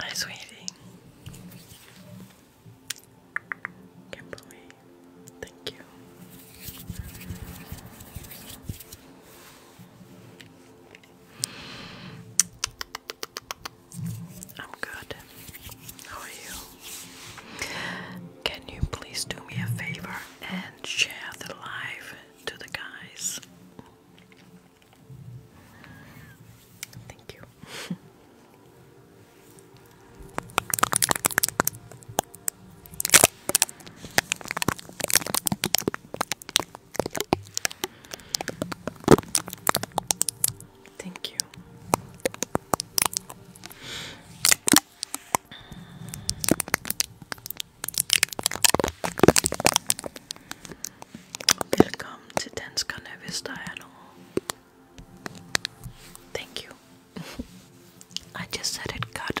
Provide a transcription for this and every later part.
Hi, sweetie. Kimberly, thank you. I'm good. How are you? Can you please do me a favor and share the live to the guys? Thank you. Thank you. Welcome to Danska Nervous Dialogue. Thank you. I just said it cut.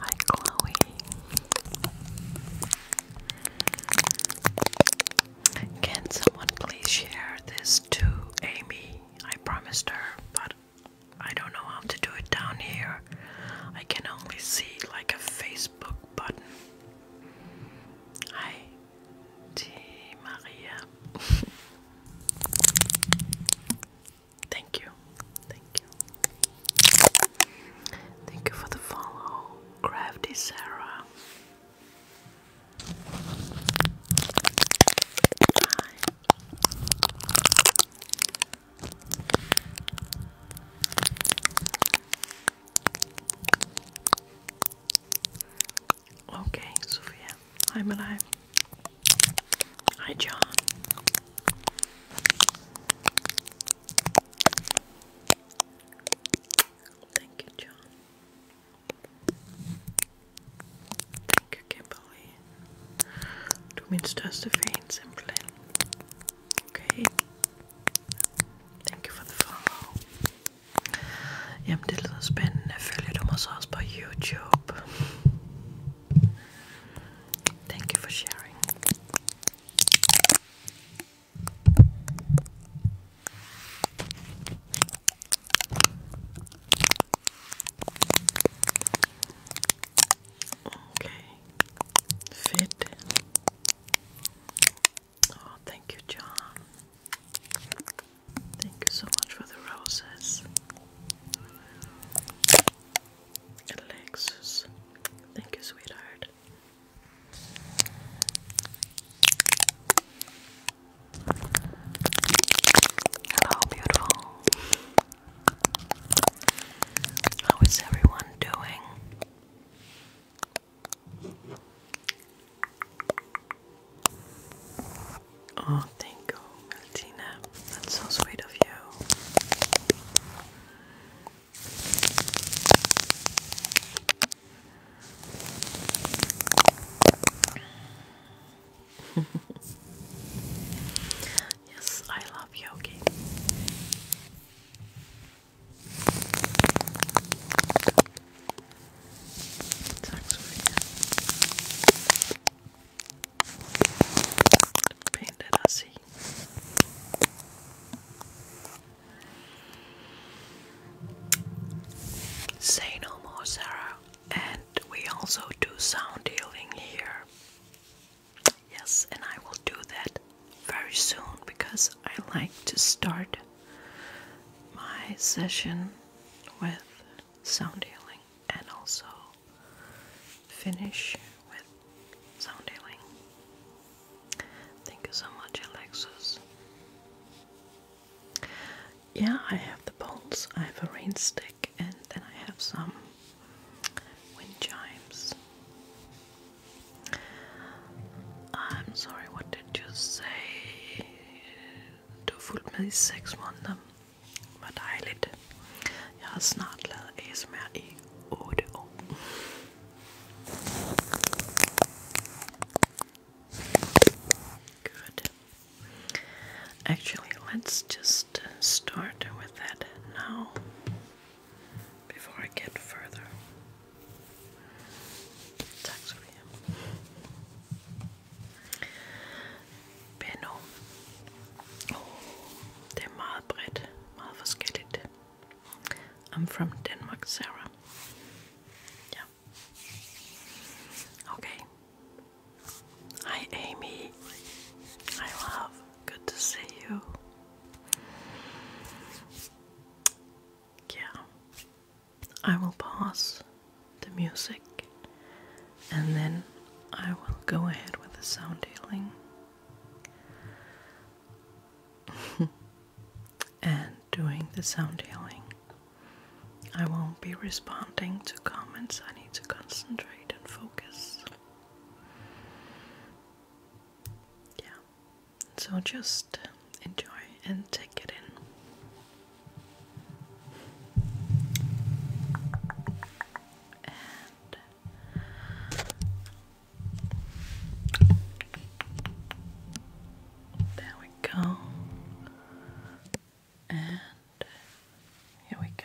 Hi, Chloe. Can someone please share this to Amy? I promised her, but I don't know how to do it down here. I can only see like a Facebook button. Hi, T. Maria. Thank you. Thank you. Thank you for the follow. Crafty Sarah. Okay, Sophia yeah, I'm alive. Hi, John. Thank you, John. Thank you, Kimberly. Du minst hast the vein Okay. Thank you for the follow. Jamen det lyder spændende. Følger du mig så også på YouTube? Thank you for sharing. Okay. Fit. Oh, thank you, John. Thank you so much for the roses. Alexis. Thank you, sweetheart. Hello, beautiful. How is everyone doing? Oh, thank you, Martina. That's so sweet of you. yes, I love yogi. Thanks for Say no more, Sarah. And we also do sound healing here. Yes, and I will do that very soon because I like to start my session with sound healing and also finish with sound healing. Thank you so much, Alexis. Yeah, I have the bowls. I have a rain and then I have some wind chimes. I'm sorry, what did you say? Du fühlst mich sechs Monaten. Er Good. Actually, let's just uh, start with that now before I get further. Tax Benno. Oh, det er meget bredt, meget I'm from Denmark, Sarah. Ja. Okay. Hi, Amy. Hi, love. Good to see you. Yeah. I will pause the music and then I will go ahead with the sound healing. and doing the sound healing, I won't be responding to comments. I need to concentrate and focus. Yeah. So just enjoy and take it in. And there we go. And here we go.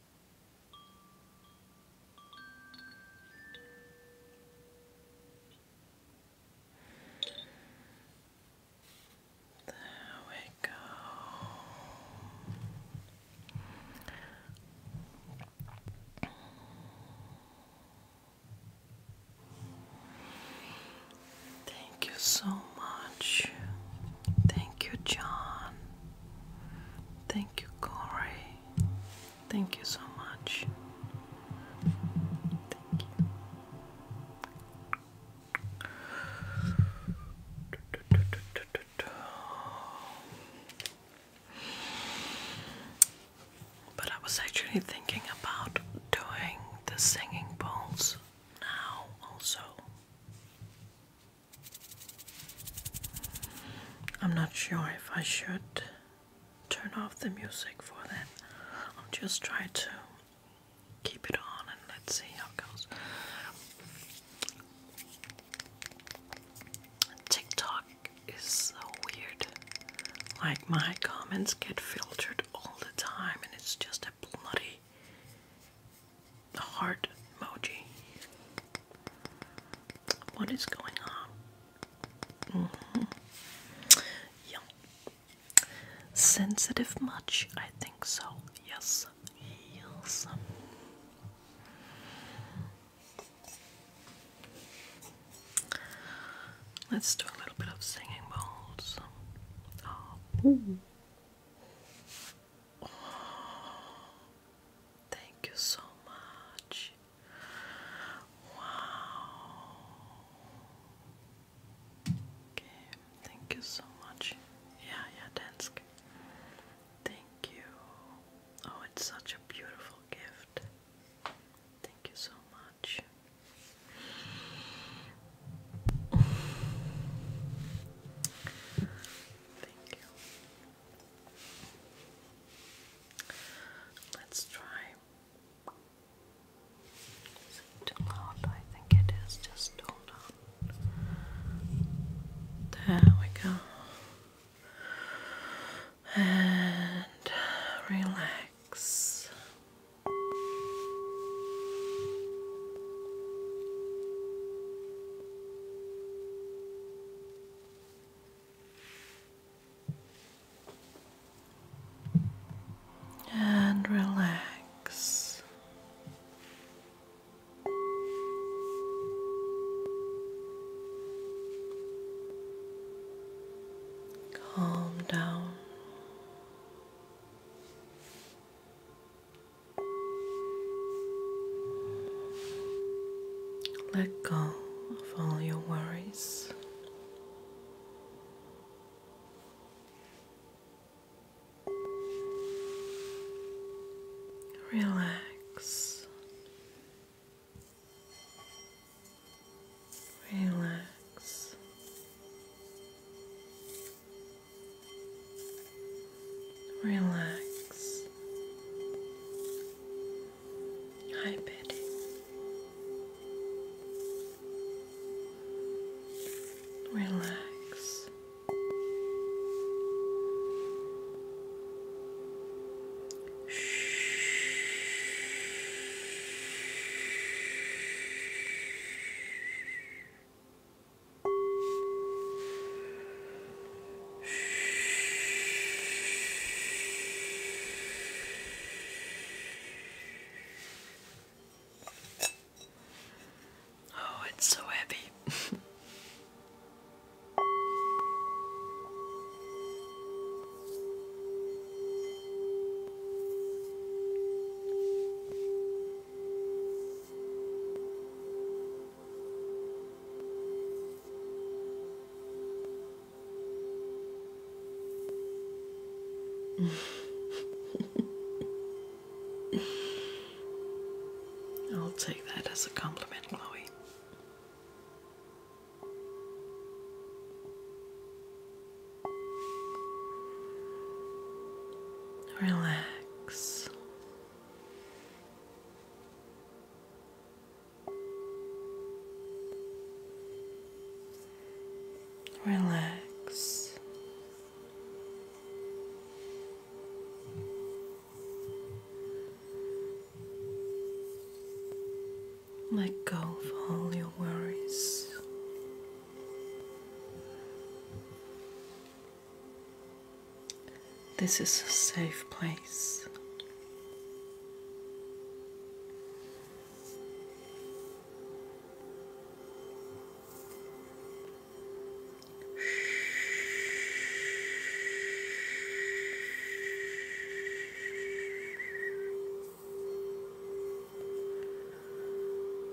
There we go. Thank you so much. Thank you, John. Thank you, Corey. Thank you so much. But I was actually thinking about doing the singing bowls now, also. I'm not sure if I should turn off the music for that. I'll just try to keep it on and let's see how it goes. TikTok is so weird. Like, my comments get filtered all the time, and it's just a bloody a heart emoji. What is going on? Mm -hmm. Yeah. Sensitive much? I think so. Yes. Yes. Let's do a little bit of singing bowls. Oh. Thank you so much. Wow. thank you so much. Yeah, yeah, Dansk. Thank you. Oh, it's such a beautiful gift. Thank you so much. Thank you. Let's try. too loud? I think it is. Just hold on. There we go. And relax and relax. Calm down. Let go of all your worries. Relax, relax, relax. Hi, Betty. Relax. Oh, it's so heavy. I'll take that as a compliment, Chloe. Relax. Relax. Let go of all your worries. This is a safe place.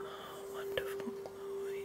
Oh, wonderful, Chloe.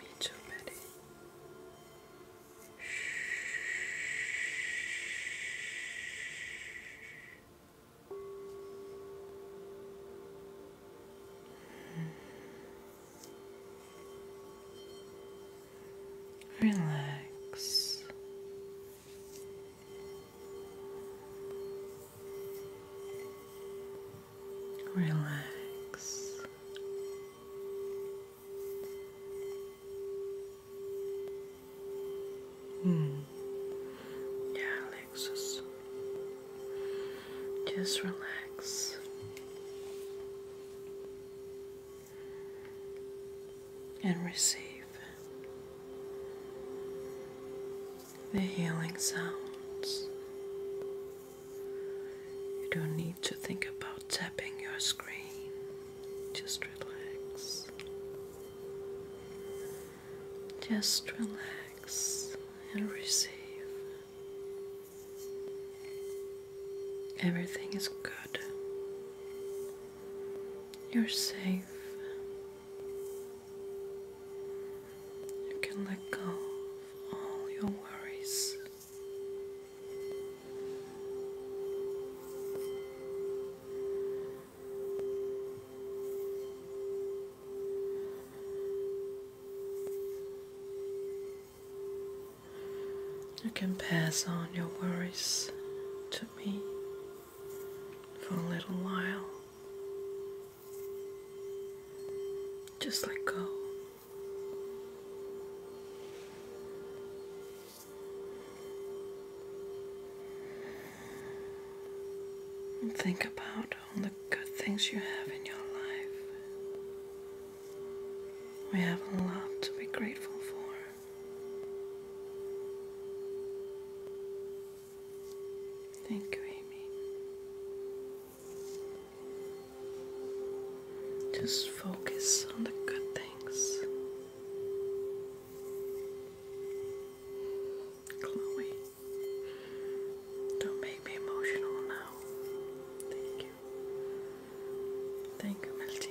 Mitchell Betty. Relax. Relax. Mm. Yeah, Alexis. Just relax. And receive the healing sounds. You don't need to think about tapping your screen, just relax. Just relax and receive. Everything is good. You're safe. You can let go of all your worries. You can pass on your worries to me for a little while. Just let go. And think about all the good things you have in your life. We have a lot to be grateful for. Thank you, Amy. Just focus on the good things. Chloe, don't make me emotional now. Thank you. Thank you, Martina.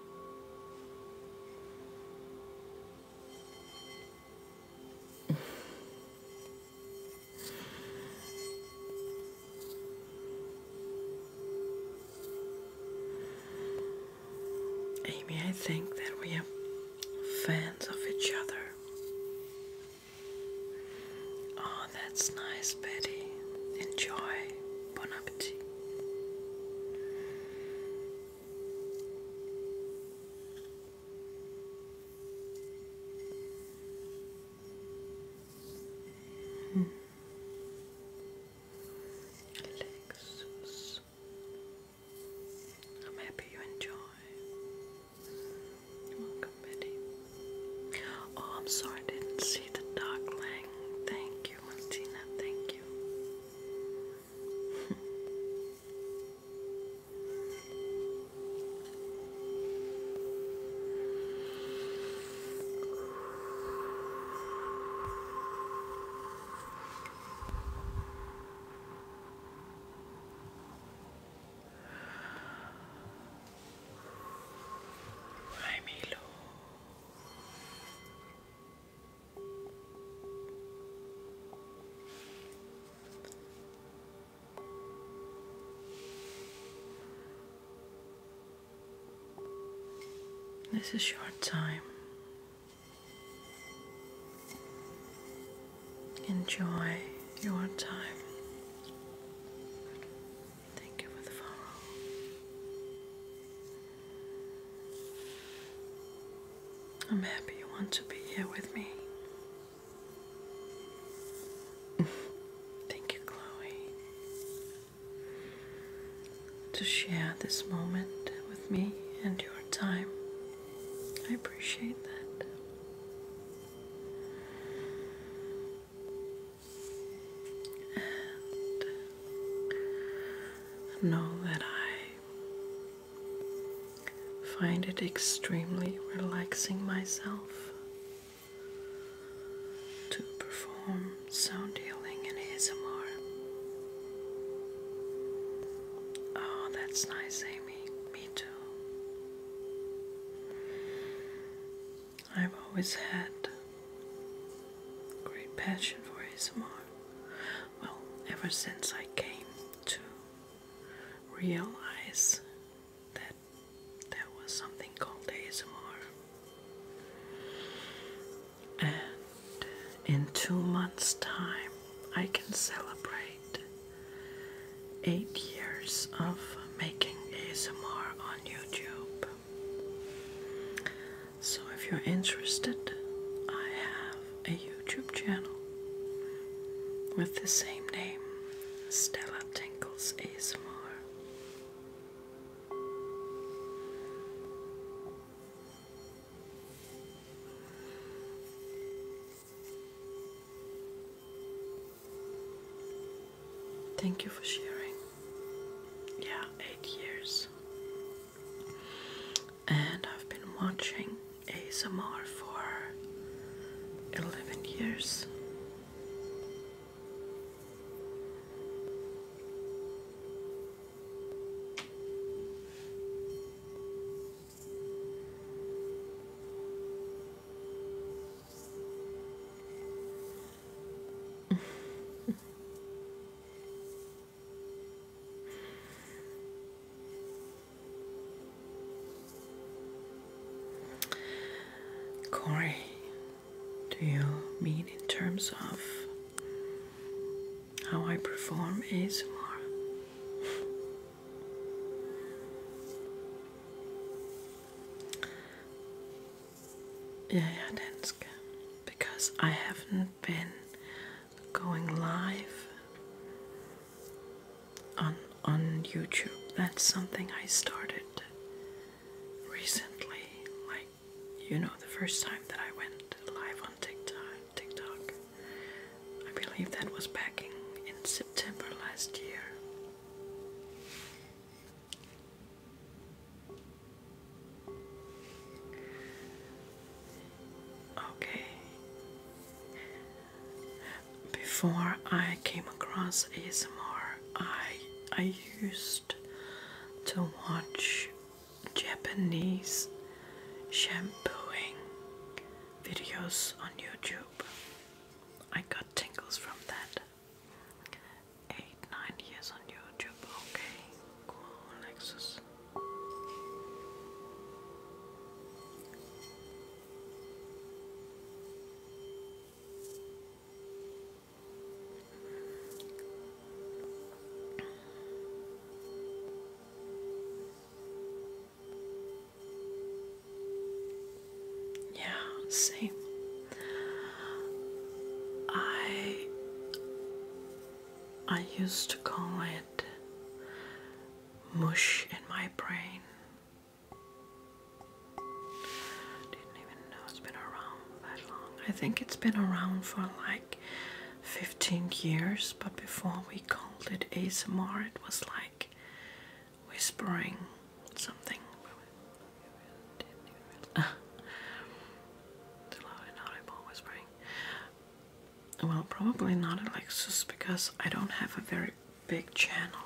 Amy, I think that we are fans of each other. Oh, that's nice, Betty. Enjoy. Bon appetit. Mm. Relax. I'm happy you enjoy. Welcome, Betty. Oh, I'm sorry I didn't see the darkling. Thank you, Martina. Thank you. Hi, Milo. This is your time. Enjoy your time. Thank you for the follow. I'm happy you want to be here with me. Thank you, Chloe, to share this moment with me and your time. I appreciate that. And Know that I find it extremely relaxing myself to perform sound healing in ASMR. Oh, that's nice, Amy. Me too. I've always had great passion for ASMR. Well, ever since I came to realize that there was something called ASMR. And in two months' time, I can celebrate eight years of making ASMR on YouTube. So, if you're interested, I have a YouTube channel with the same name Stella Tinkles ASMR. Thank you for sharing. Yeah, eight years and I've been watching ASMR for 11 years. Corey, do you mean in terms of how I perform ASMR? Jæja dansk, because I have been going live on on YouTube. That's something I started recently, like you know, the first time that I went live on TikTok. TikTok. I believe that was back in September last year. Okay. Before I came across ASMR, I I used to watch Japanese shampooing videos on YouTube. I got tingles from that. Eight, nine years on YouTube, okay cool Yeah, same. I I used to call it mush in my brain. Didn't even know it's been around that long. I think it's been around for like 15 years, but before we called it ASMR, it was like whispering something. Didn't even realize. Uh, whispering. Well, probably not Alexis because I don't have a very big channel.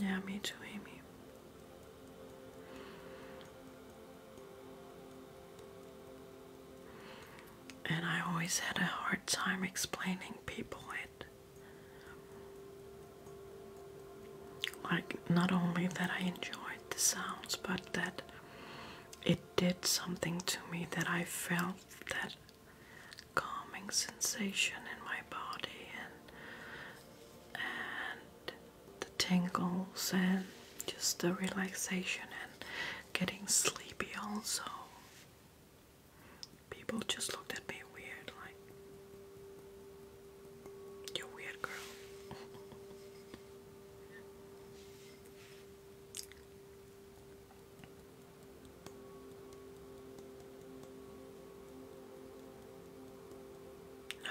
Yeah, me too, Amy and I always had a hard time explaining people it. Like, not only that I enjoyed the sounds, but that it did something to me that I felt that calming sensation in my body and and the tingles and just the relaxation and getting sleepy also People just looked at me weird, like, you're weird, girl. No,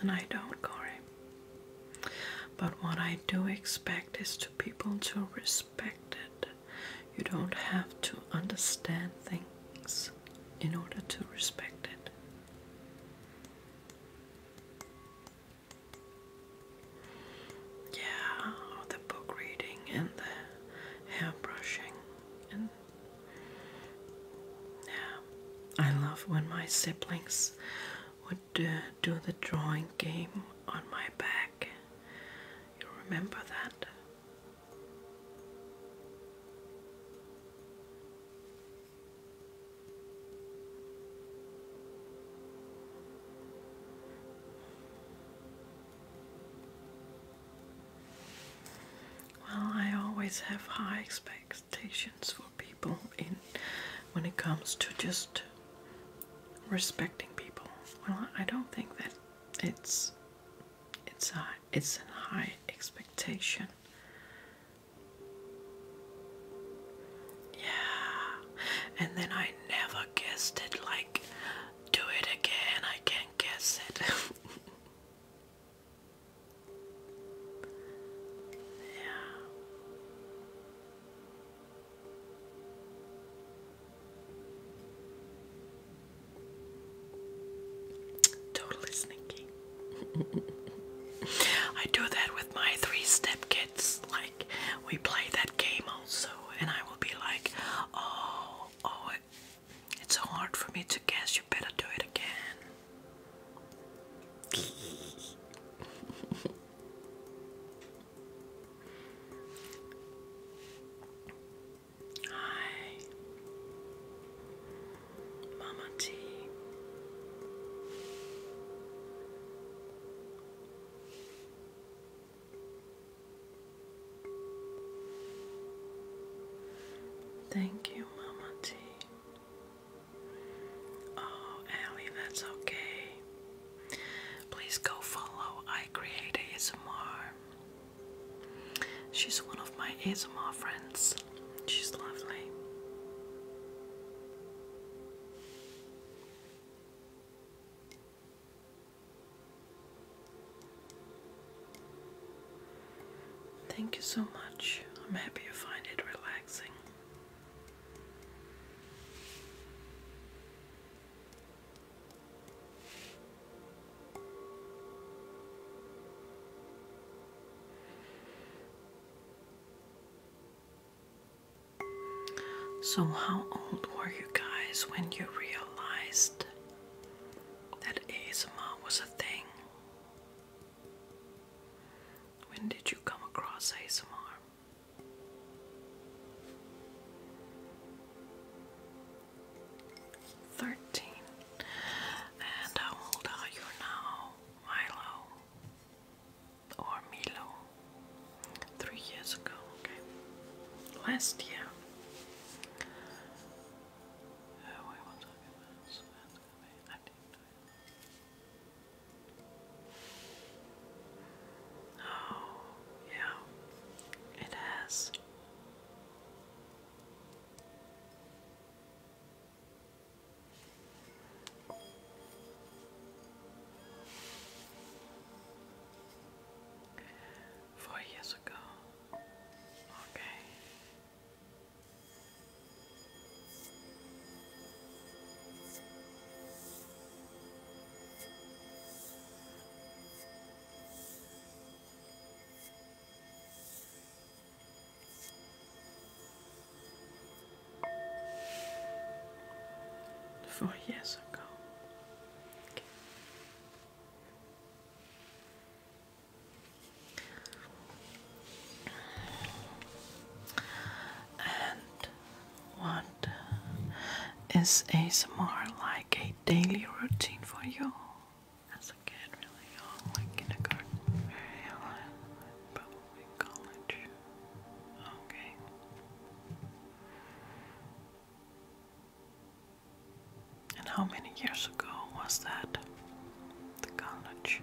and I don't, Corey. But what I do expect is to people to respected. You don't have to understand things in order to respect it. Yeah, the book reading and the hair brushing and yeah, I love when my siblings would uh, do the drawing game on my back. You remember that? Well, I always have high expectations for people in when it comes to just respecting people. Well, I don't think that it's it's a it's a high expectation. Yeah, and then I never guessed it. Like, do it again. I can't guess it. yeah. Totally sneaky. I do that with my three step kids. Like, we play that game also, and I will be like, oh, oh, it's so hard for me to guess. You better do it again. Hi, Mama T. Thank you, Mama T. Oh, Allie, that's okay. Please go follow I Create ASMR. She's one of my ASMR friends. She's lovely. Thank you so much. I'm happy you find it relaxing. So, how old were you guys when you realized that ASMR was a thing? When did you come across ASMR? Thirteen. And how uh, old are you now, Milo? Or Milo? Three years ago, Last year. Oh, Oh, yeah, it has. Four years ago. Okay. Four years ago. And what is ASMR like? like a daily routine for you as a kid, really young, like kindergarten, very young, probably Okay. And how many years ago was that? The college?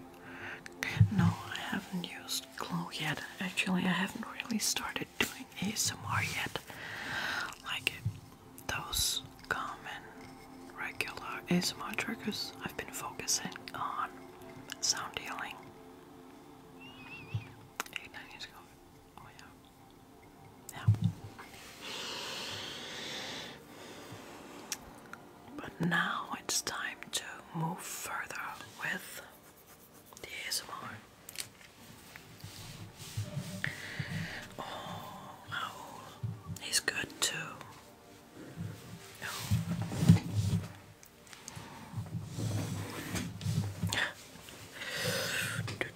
No, I haven't used Glow yet. Actually, I haven't really started doing ASMR yet. Like those common regular ASMR triggers, I've been focusing on sound healing. Oh, but now it's time to move further with the ASMR. Oh, He's good too. Oh. Okay.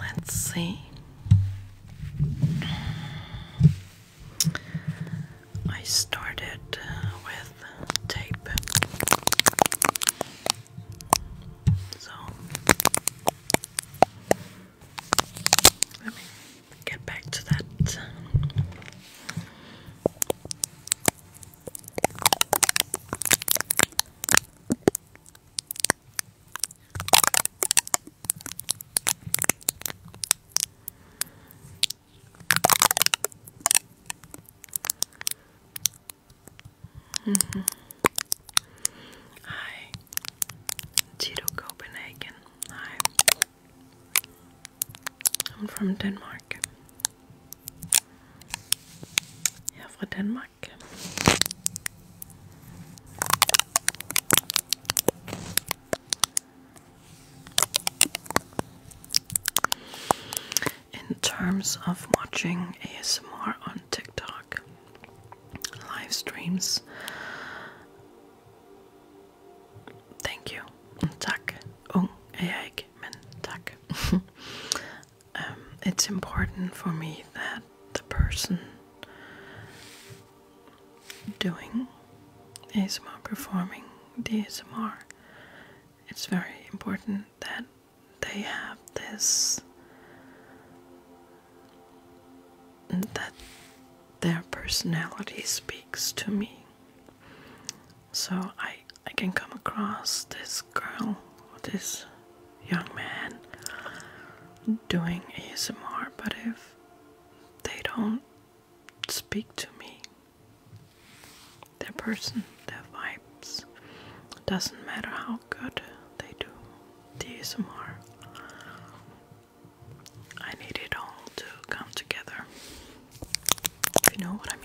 Let's see. I started uh, with tape. So let me get back to that. Mm-hmm. Hi, Tito Copenhagen. Hi, I'm from Denmark. Yeah, from Denmark. In terms of watching ASMR on TikTok, live streams, thank you. Tak, ung jeg, men tak. Um, it's important for me that the person doing ASMR, performing the ASMR, it's very important that they have this that their personality speaks to me so i i can come across this girl this young man doing asmr but if they don't speak to me their person, their vibes. Doesn't matter how good they do DSMR. I need it all to come together. If you know what I mean.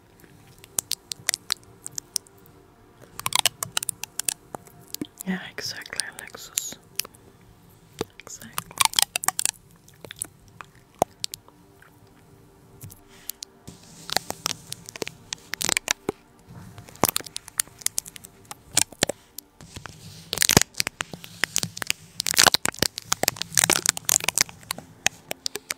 Yeah, exactly, Alexis. Exactly.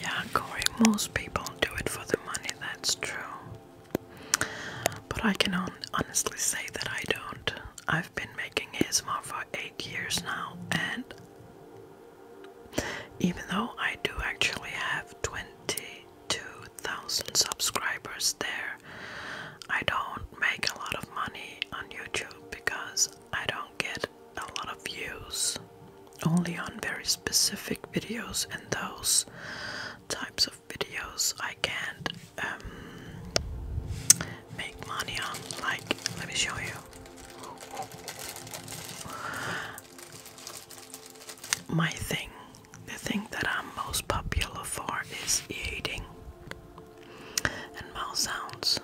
Yeah, Corey, most people do it for the money, that's true. But I can honestly say that I don't. I've been making ASMR for eight years now, and even though I do actually have 22,000 subscribers there, I don't make a lot of money on YouTube because I don't get a lot of views, only on very specific videos, and those types of videos I can't um, make money on. Like, let me show you. My thing, the thing that I'm most popular for is eating and mouth sounds.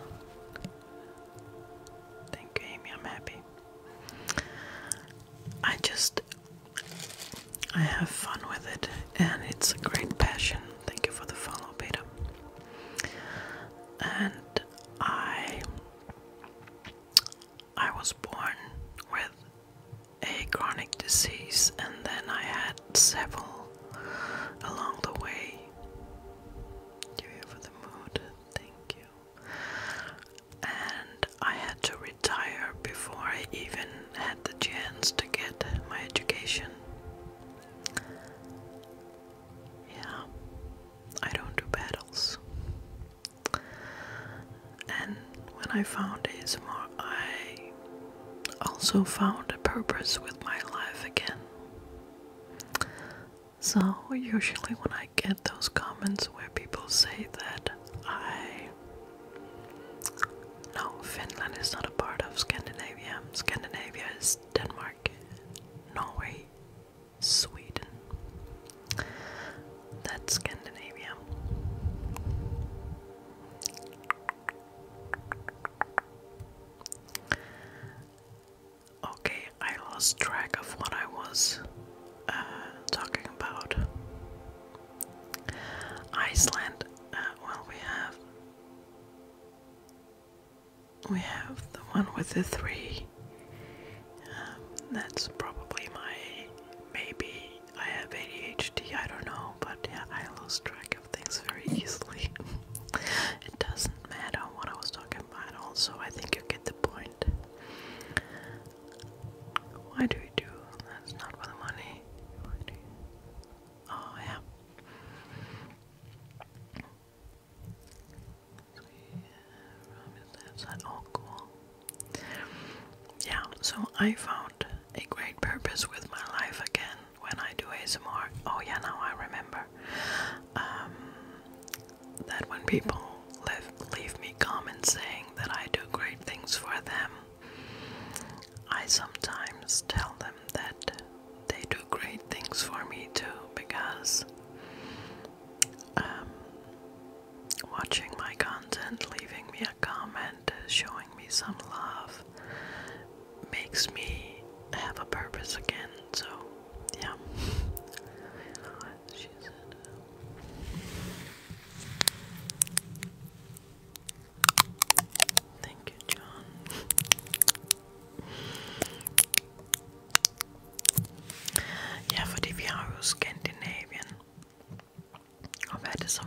Thank you, Amy. I'm happy. I just I have fun with it, and it's a great passion. Thank you for the follow, Peter. And I I was born with a chronic disease, and then I had several along the way. You're here for the mood, thank you. And I had to retire before I even had the chance to get my education. Yeah, I don't do battles. And when I found more I also found a purpose with my life again. So, usually, when I get those comments where people say that I. No, Finland is not a part of Scandinavia. Scandinavia is Denmark, Norway, Sweden. That's Scandinavia. Okay, I lost track of what I was uh, talking about. Iceland. Uh, well, we have we have the one with the three. Um, that's probably my maybe I have ADHD. I don't know, but yeah, I lost track things very easily. it doesn't matter what I was talking about, also, I think you get the point. Why do we do? That's not for the money. Oh, yeah. So, yeah that's that all cool. Yeah, so I found a great purpose with my life again when I do ASMR. Oh yeah, now I remember. Um, that when people live, leave me comments saying that I do great things for them, I sometimes tell them that they do great things for me too because um, watching my content, leaving me a comment, showing me some love makes me have a purpose again. So, yeah. Uh, thank you, John. Ja, för det vi har ju Skandinavien. Och vad är det som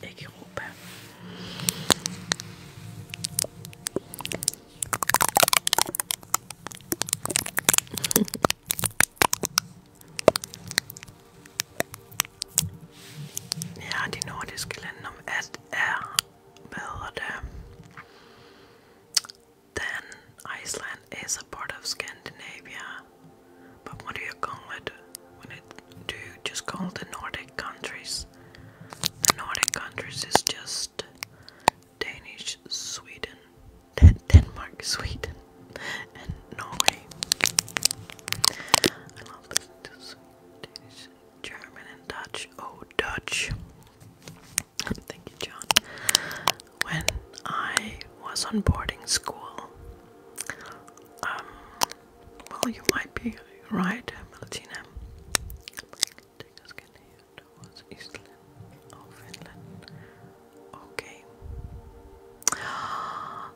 ik geroepen. Ja, die nordiske landen om ett är bättre. Then Iceland is a part of Scandinavia. But what do you call it when it do just call the Nordic countries. The Nordic countries is just Danish, Sweden, Den Denmark, Sweden, and Norway. I love listening to Danish, German, and Dutch. Oh, Dutch. Thank you, John. When I was on boarding school, um, well, you might be right, Martina. Take us here towards Eastland or Finland. Okay.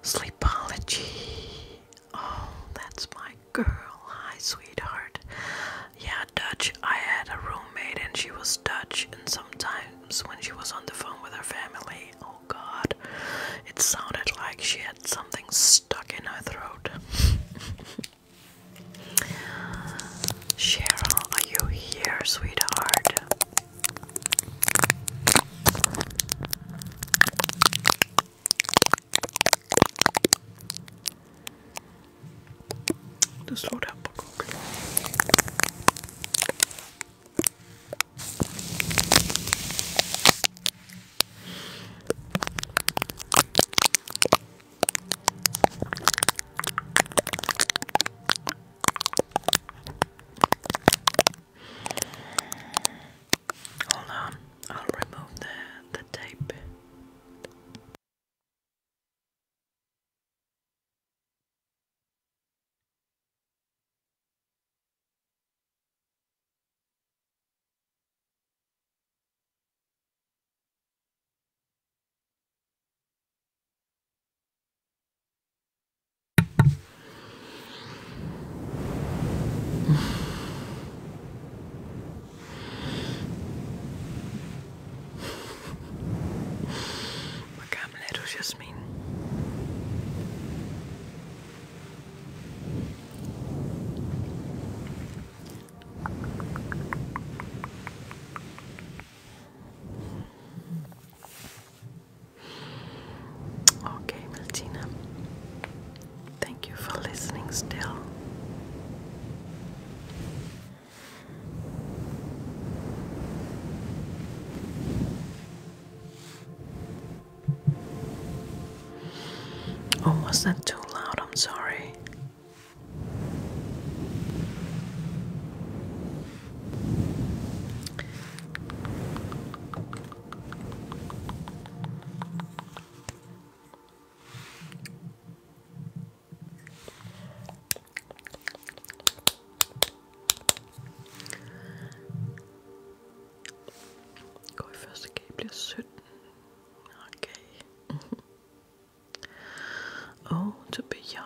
Sleepology. Oh, that's my girl. Hi, sweetheart. Yeah, Dutch. I had a roommate and she was Dutch, and sometimes when she was on the phone with her family, oh god, it sounded like she had something stuck in her throat. Cheryl, are you here, sweetheart? Just slow down, Hold on, I'll remove the, the tape. Magam just Jasmine. Okay, Martina. Thank you for listening still. Oh, was that too loud? I'm sorry. Koyfeste keep just zitten. Okay. oh, to be young.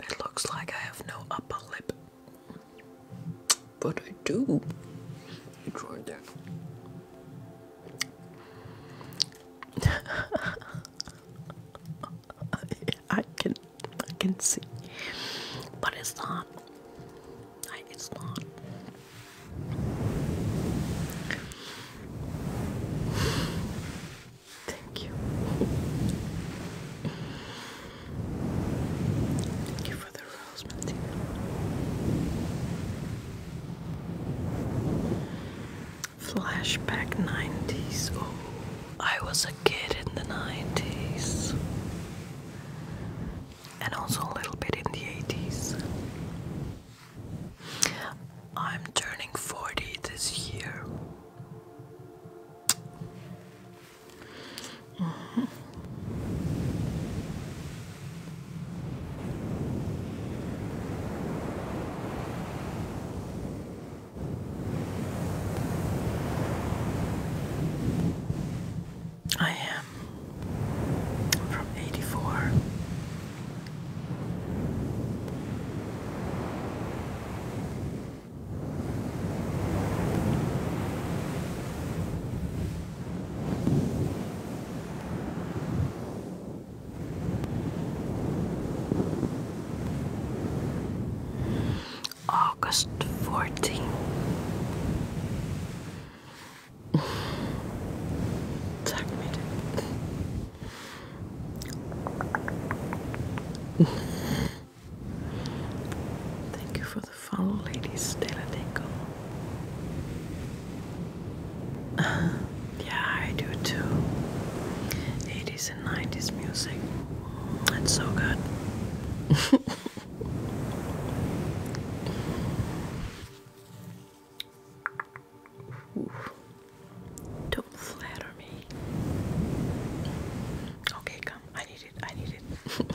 It looks like I have no upper lip. But I do. You right that. I can I can see. But it's not. it's not. Thank you. Thank you for the rose, Flashback 90s. Oh, I was a kid in the 90s. And also a little bit in the 80s. I'm turning 40 this year. Mm-hmm. I am from eighty four. August 14. Sag mir Thank you for the follow, ladies. Stella Dingle. yeah, I do too. Ladies 90s music. It's so good. don't flatter me. Okay, come. I need it. I need it.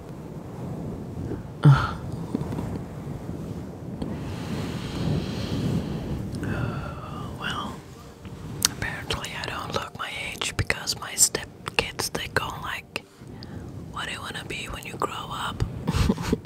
well, apparently I don't look my age because my stepkids, they go like, what do you want to be when you grow up?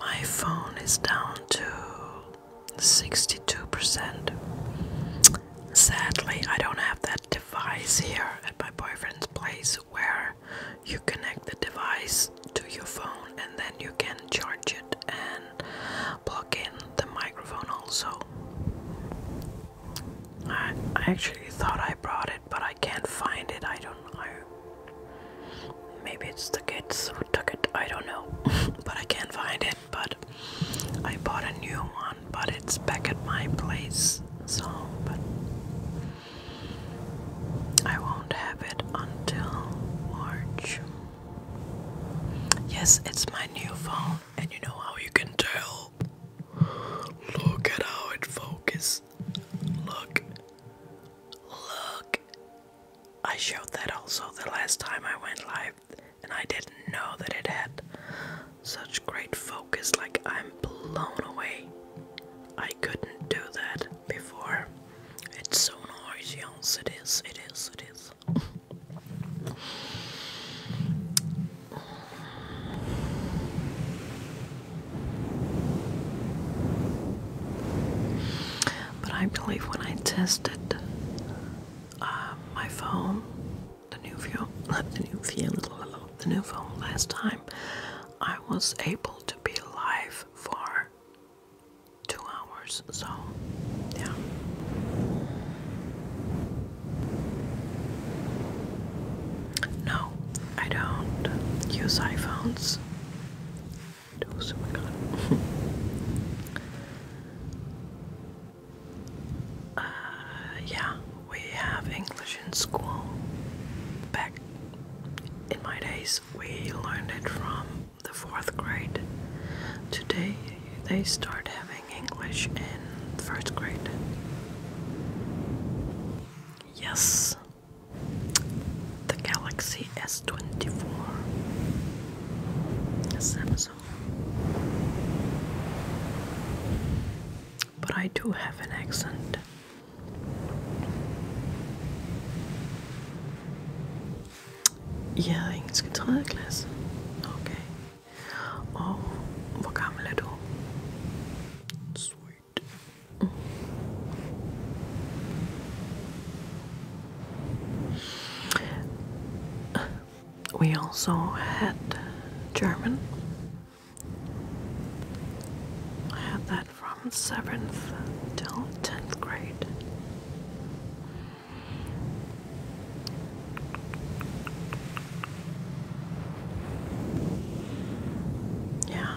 My phone is down to 62%. Sadly, I don't have that device here at my boyfriend's place where you connect the device to your phone and then you can charge it and plug in the microphone also. I, actually thought I brought it, but I can't find it. I don't know. Maybe it's the kids who took it, I don't know. but I can't find it. But I bought a new one, but it's back at my place. So, I won't have it until March. Yes, it's my new phone, and you know how you can tell. Look at how it focuses. Look. Look I showed that also the last time I went live, and I didn't know that it had such great focus. Like, I'm blown away. I couldn't do that before. It's so noisy, yes, it is, it is, it is. But I believe when I tested uh, my phone, the new phone, the new phone, the new phone last time, I was able to be live for two hours. So, yeah. No, I don't use iPhones. Oh uh, yeah, we have English in school. Back in my days, we learned it from the fourth grade. Today, they start having English in first grade. Yes, the Galaxy S24 Samsung. But I do have an accent. Ja, engelske 3. klasse. Okay. Og hvor gammel er Sweet. We also had German. I had that from 7th till 10th grade. Yeah.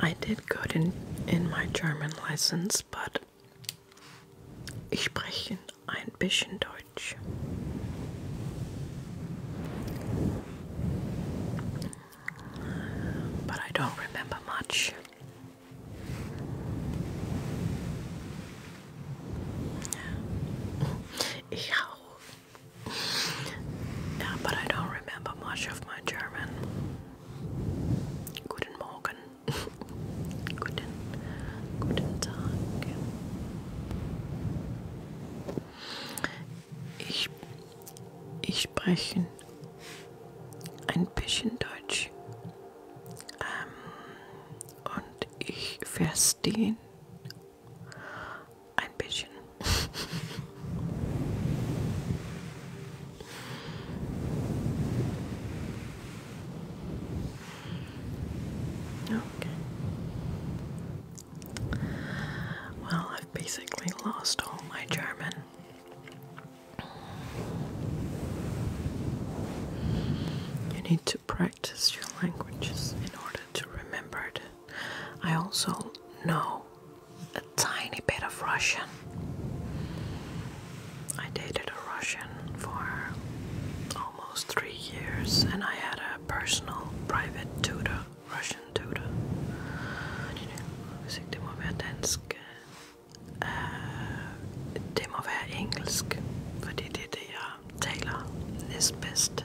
I did good in in my German lessons, but ich spreche ein bisschen Deutsch. But I don't remember much. Ich hau Yeah, but I don't remember much of my German. Guten Morgen. guten, guten Tag. Ich, ich spreche ein bisschen Deutsch. Ähm, und ich verstehe okay. Well, I've basically lost all my German. You need to practice your languages in order to remember it. I also know a tiny bit of Russian. I dated a Russian for almost three years, and I had a personal, private tutor, Russian tutor. Det må være dansk. Det uh, må være engelsk, fordi det er det, jeg taler næstbedst.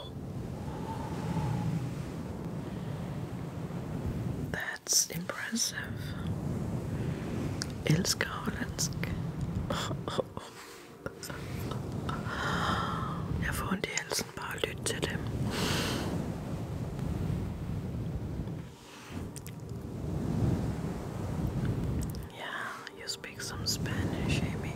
That's impressive. Ilska i halsen bare at lytte til dem. Yeah, you speak some Spanish, Amy.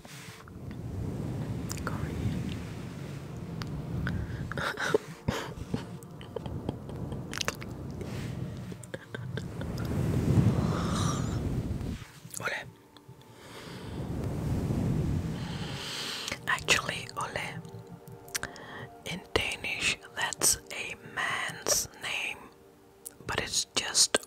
Ole. Actually, Ole. In Danish, that's a man's name, but it's just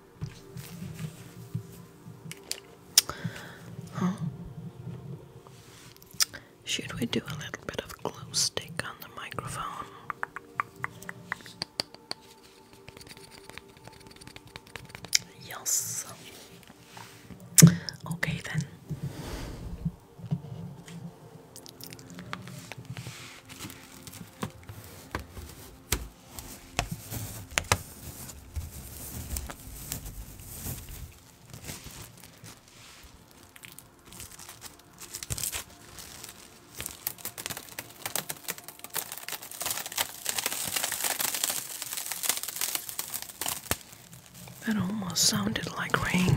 Should we do a little bit of glue stick on the microphone? Yes. Okay then. That almost sounded like rain.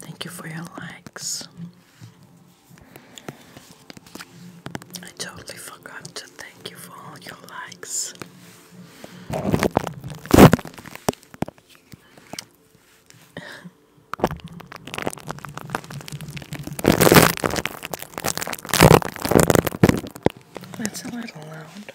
Thank you for your likes. I totally forgot to thank you for all your likes. That's a little loud.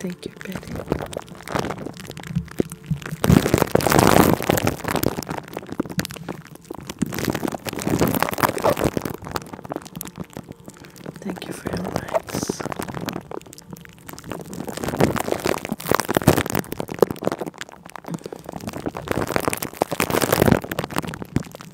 Thank you, Betty. Thank you for your likes.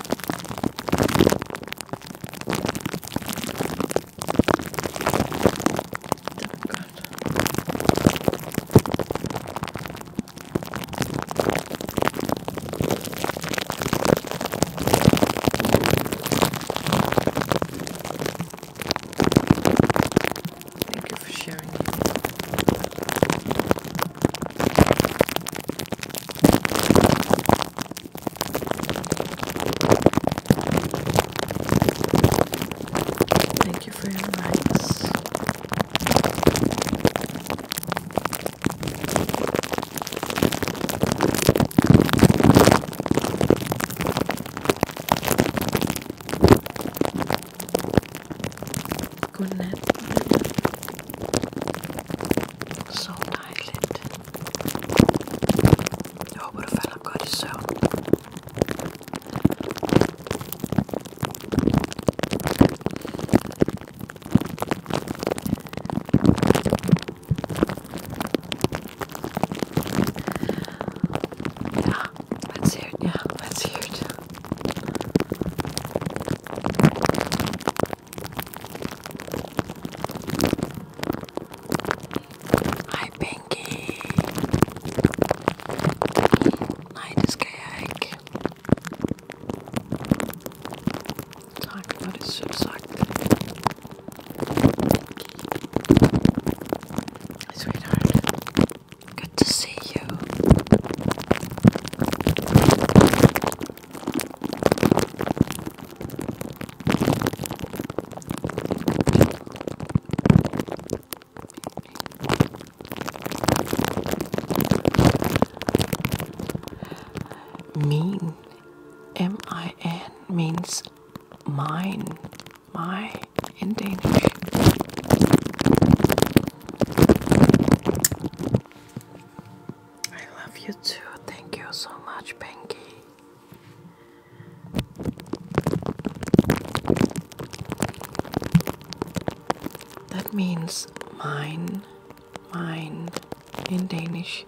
Thank you for sharing. Thank you for your likes goodness. So eyelid. Jag borde fälla gå i sömn. Yeah, let's hear it. Yeah, let's hear it. Hi, Pinky. Night is cake. Talk about his Sweetheart, good to see you. Mean, M I N, means mine, my in Danish. I love you too. Thank you so much, Pinky. That means mine, mine in Danish.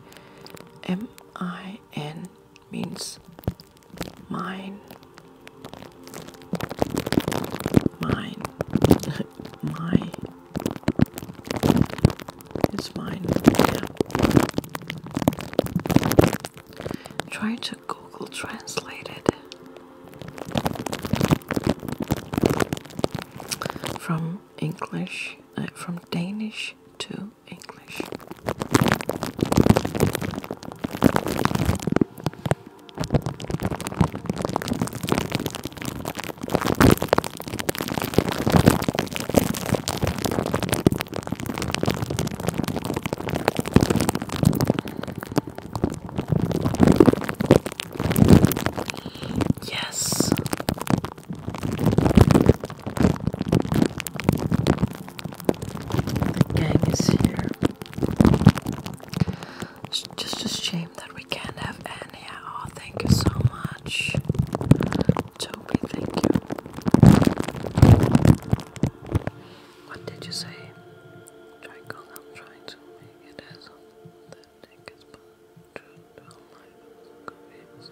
M I N means mine, mine, my. It's mine. Yeah. Try to Google Translate it from English, uh, from Danish to English. Yes. The gang is here. It's just a shame that we can't have any at Thank you so much. Toby, thank you. What did you say? trying to make it as that tickets but to all life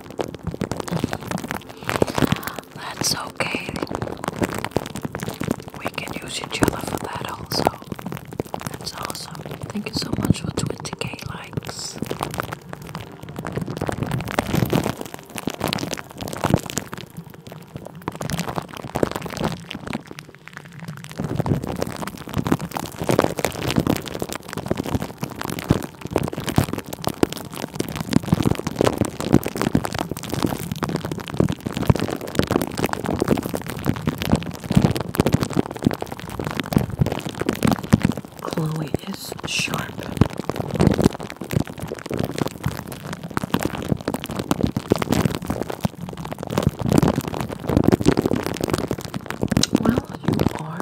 That's okay. We can use each other for that also. That's awesome. Thank you so much for 20k likes. Chloe is sharp. Well, you are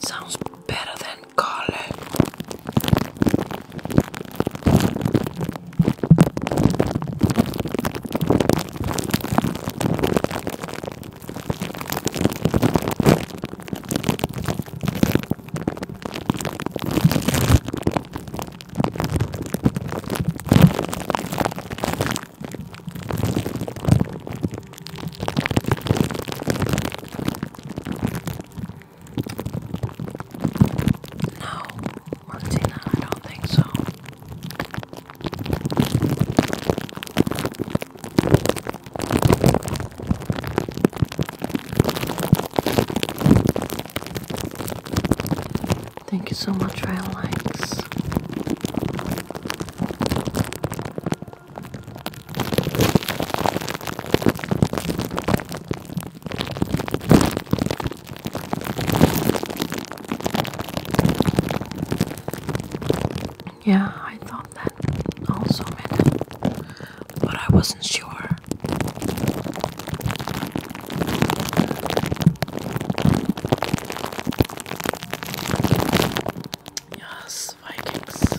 Sounds better than color. No, Martina, I don't think so. Thank you so much, for your Likes. Yeah, I thought that also but I wasn't sure. Yes, Vikings.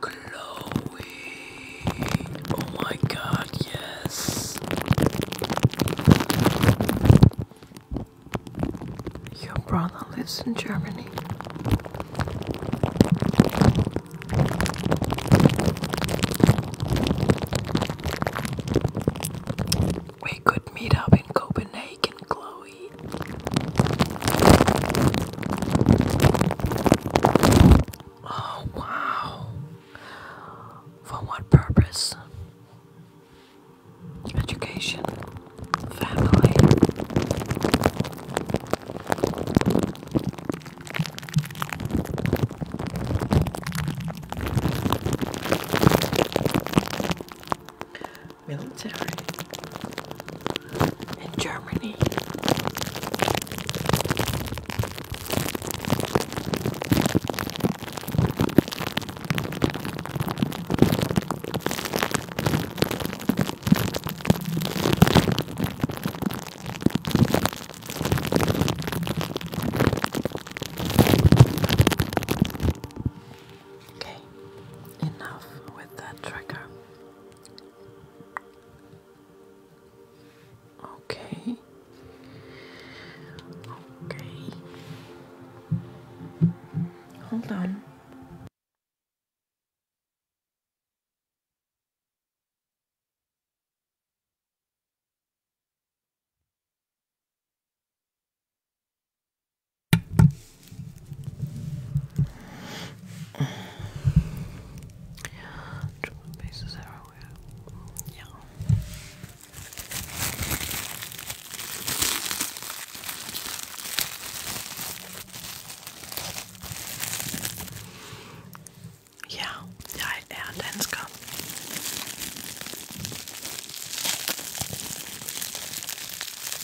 Glowing. Oh my god, yes. Your brother lives in Germany. We could meet up in Copenhagen and Chloe. Oh, wow. For what purpose? Education, family military in Germany. Okay, enough with that trigger. Okay. Okay. Hold on. Drum pieces everywhere. Yeah. Ja,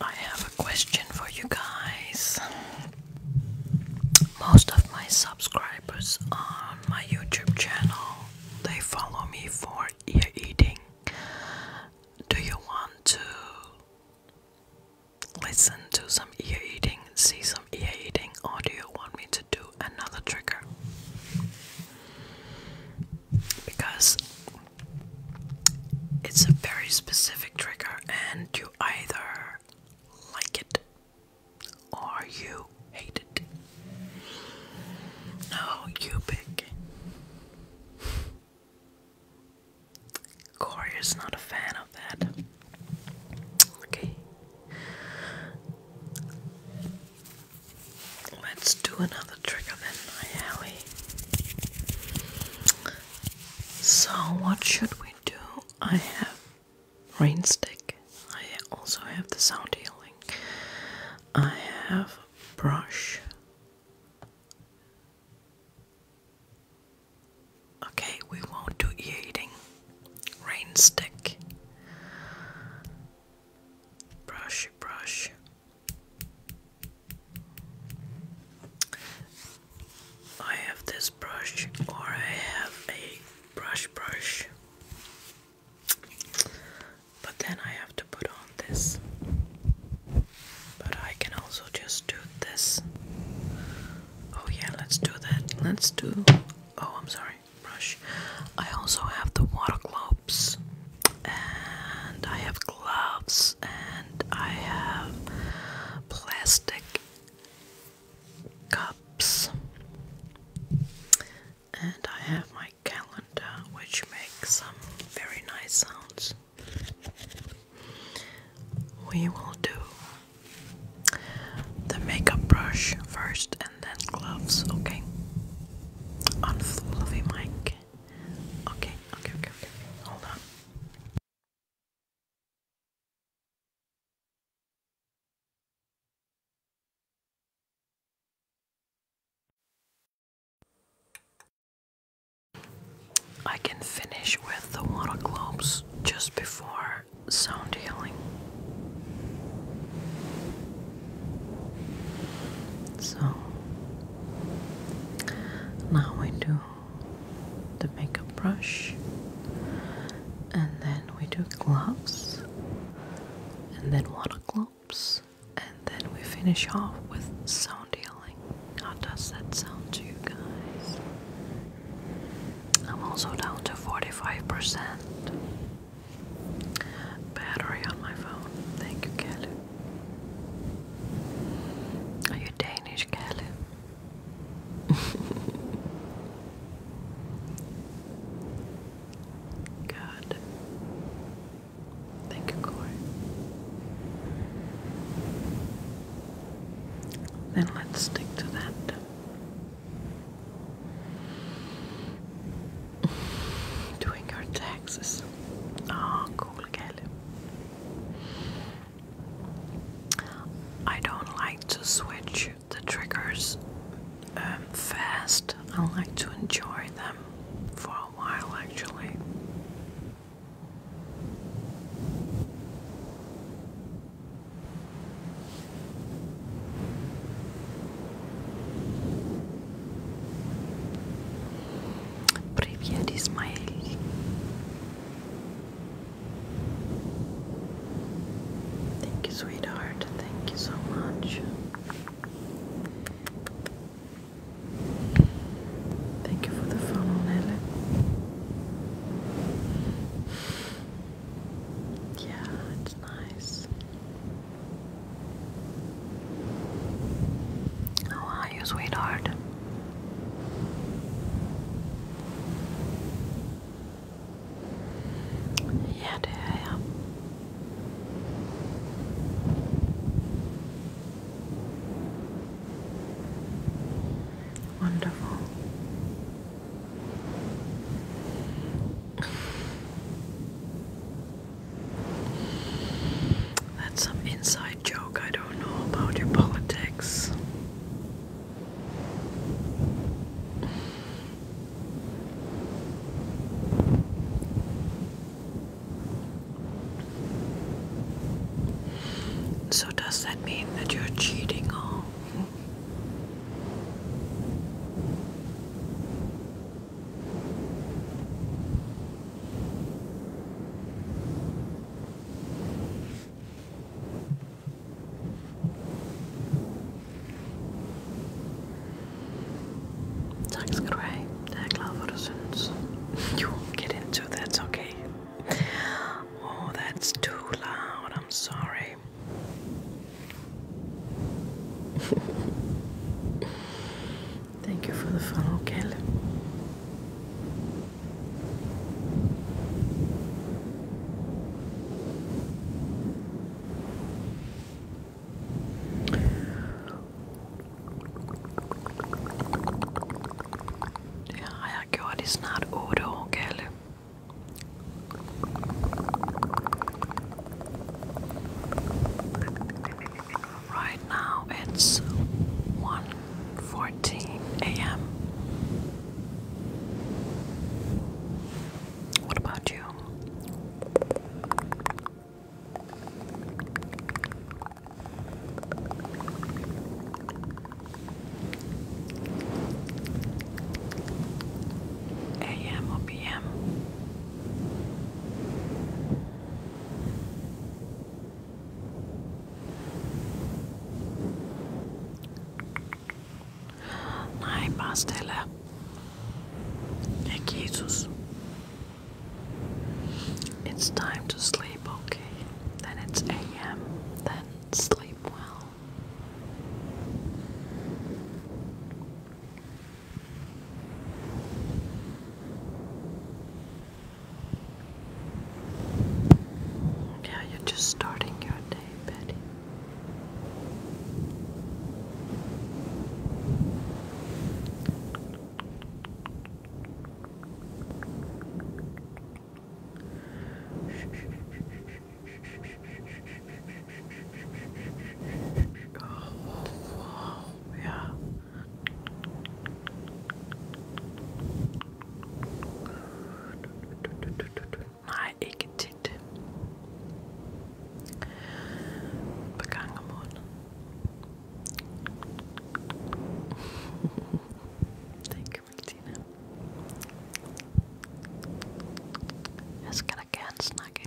I have a question for you guys. Most of my subscribers on my YouTube channel, they follow me for ear eating. Do you want to listen to some ear eating, see some ear eating, or do you want me to do another trigger? because it's a very specific trigger, and you either like it or you hate it. No, you pick. Corey is not a fan of that. Okay. Let's do another trigger then, my alley. So, what should we do? I have rainstick. I also have the sound healing. I have brush. Okay, we won't do eating. Rain brush, brush. I have this brush, or I have a brush, brush. But then I have to put on this. But I can also just do this. Oh, yeah, let's do that. Let's do. Oh, I'm sorry brush. I also have the water globes, and I have gloves, and I have plastic cups, and I have my calendar, which makes some very nice sounds. We will do the makeup brush first and then gloves, okay? on the fluffy mic. Okay, okay, okay, okay. Hold on. I can finish with the water globes just before sound healing. So now we do the makeup brush, and then we do gloves, and then water gloves, and then we finish off with sound healing. How does that sound to you guys? I'm also down to 45% battery on my phone. Thank you, Kelly. Are you Danish, Kelly? Good. Thank you, Corey. Then let's stick to that. Doing your taxes. Oh, cool, Kelly. I don't like to switch the triggers um, fast. I like to enjoy them for a while, actually. Привет, Ismail. Thank you, sweetheart. Thank you so much. Thank you for the phone, Nelly. Yeah, it's nice. How are you, sweetheart? Yeah, dear, yeah. Wonderful. That's some inside joke I don't know about your politics. So, does that mean that you're cheating or? Tack ska du ha. Jag är glad vad du syns. You won't get into that's okay. Oh, that's too loud. I'm sorry. Thank you for the follow, Kel. Ja, jag går i snart oro, Kel. Right now it's 1:14 a.m. What about you? AM or PM? Näin pastelee. Ja kiitos. It's time to sleep, okay? Then it's AM. Then sleep well. Yeah, you're just starting your day, Betty. Oh, yeah. Nej, ikke tit. Et par gange Thank you, Martina. Jeg skal da gerne snakke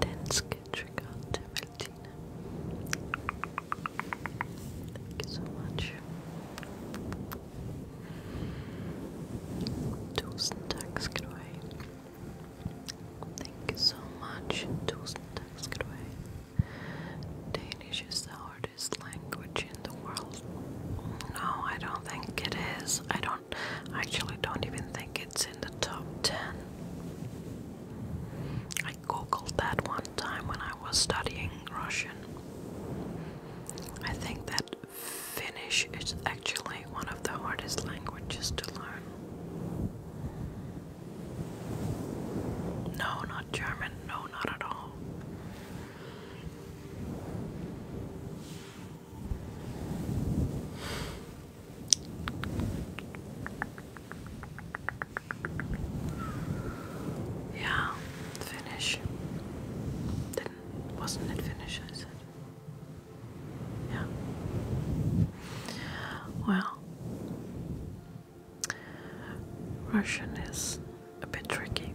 Lindenske trigger to Meltina. Thank you so much. Tusen tack ska du ha. Thank you so much. Tusen tack ska du ha. Danish is the hardest language in the world. No, I don't think it is. I don't actually don't even think think it's in the top 10. I googled that one time when I was studying Russian. I think that Finnish is actually one of the hardest languages to learn. No, not German. No, not at all. Yeah, finish. Didn't wasn't it finish? I said. Yeah. Well, Russian is a bit tricky.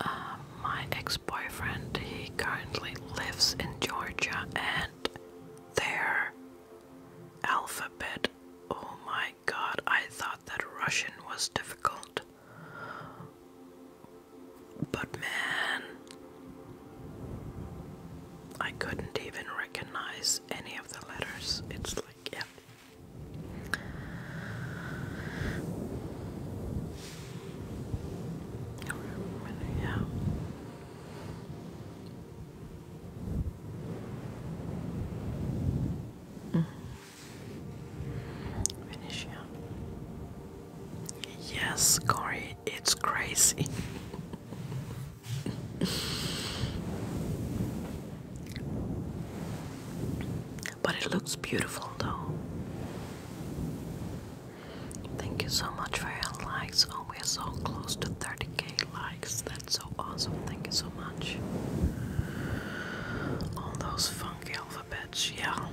Uh, my ex-boyfriend he currently lives in Georgia and their alphabet oh my god I thought that Russian was difficult but man I couldn't even recognize any of the letters it's like yeah Finish yeah. Yes, Corey, it's crazy. But it looks beautiful though. Thank you so much for your likes. Oh, we're so close to 30k likes. That's so awesome. Thank you so much. All those funky alphabets, yeah.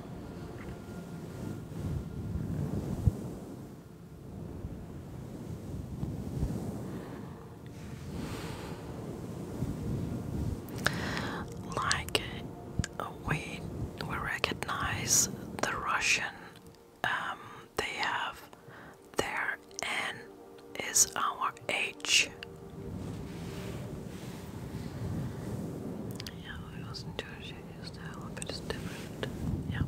Like we we recognize the Russian, um, they have their N is our H. Yeah, we wasn't too sure used that a is different. Yeah.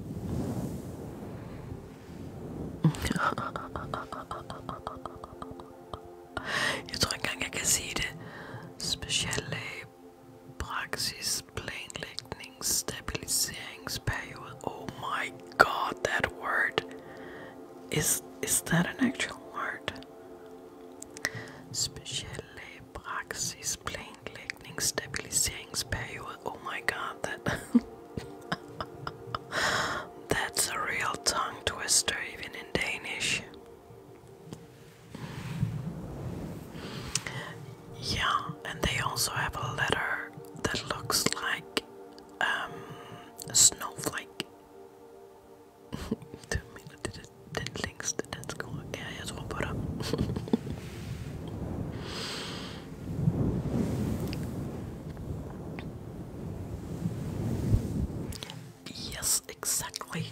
Je teruggang geschieden, speciale praxis, plane lightning stabiliseringsperiode. Oh my god, that word! Is, is that an actual word? Speciale praxis, plane lightning stabiliseringsperiode. Oh my god, that. That's a real tongue twister, even in Danish. Yeah, and they also have a letter that looks like um, a snowflake. Two minutes, den links, den skolan. Ja, jag tror på det. yes, exactly.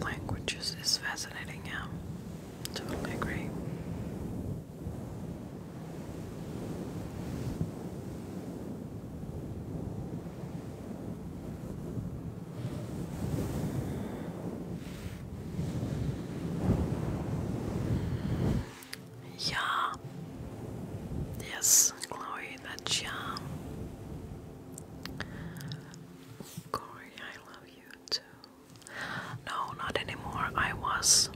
Languages is fascinating, yeah. Totally agree. Yeah. Yes, Chloe, that's yeah. Corey, I love you too. No, not anymore. I was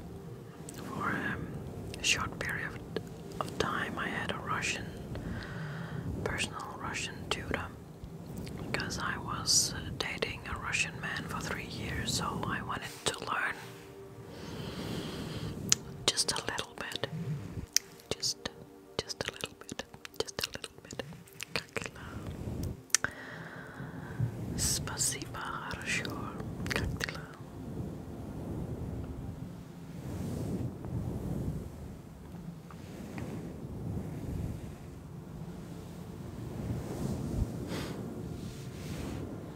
for um, a short period of time. I had a Russian, personal Russian tutor because I was uh, dating a Russian man for three years, so I wanted to learn just a little bit. Just just a little bit. Just a little bit. Kakila. Spasiba хорошо. Как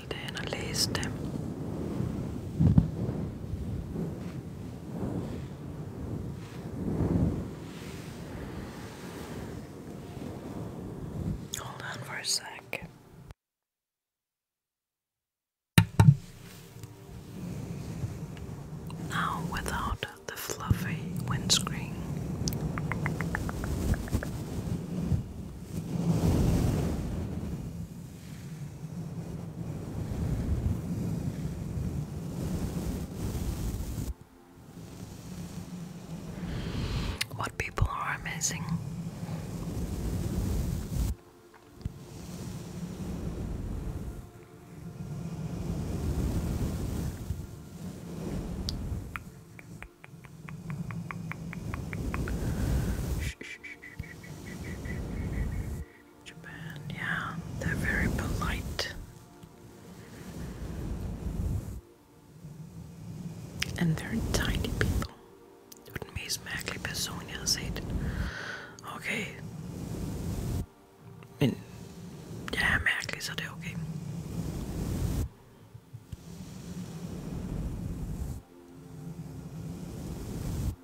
till det ena lyste. Hold on for a sec. Now, without the fluffy windscreen, what people are amazing. Shh, shh, shh. Japan, yeah, they're very polite and they're tiny people. Tut mir ist merklich Personen, ihr seht. Okay. In, ja, merklich okay.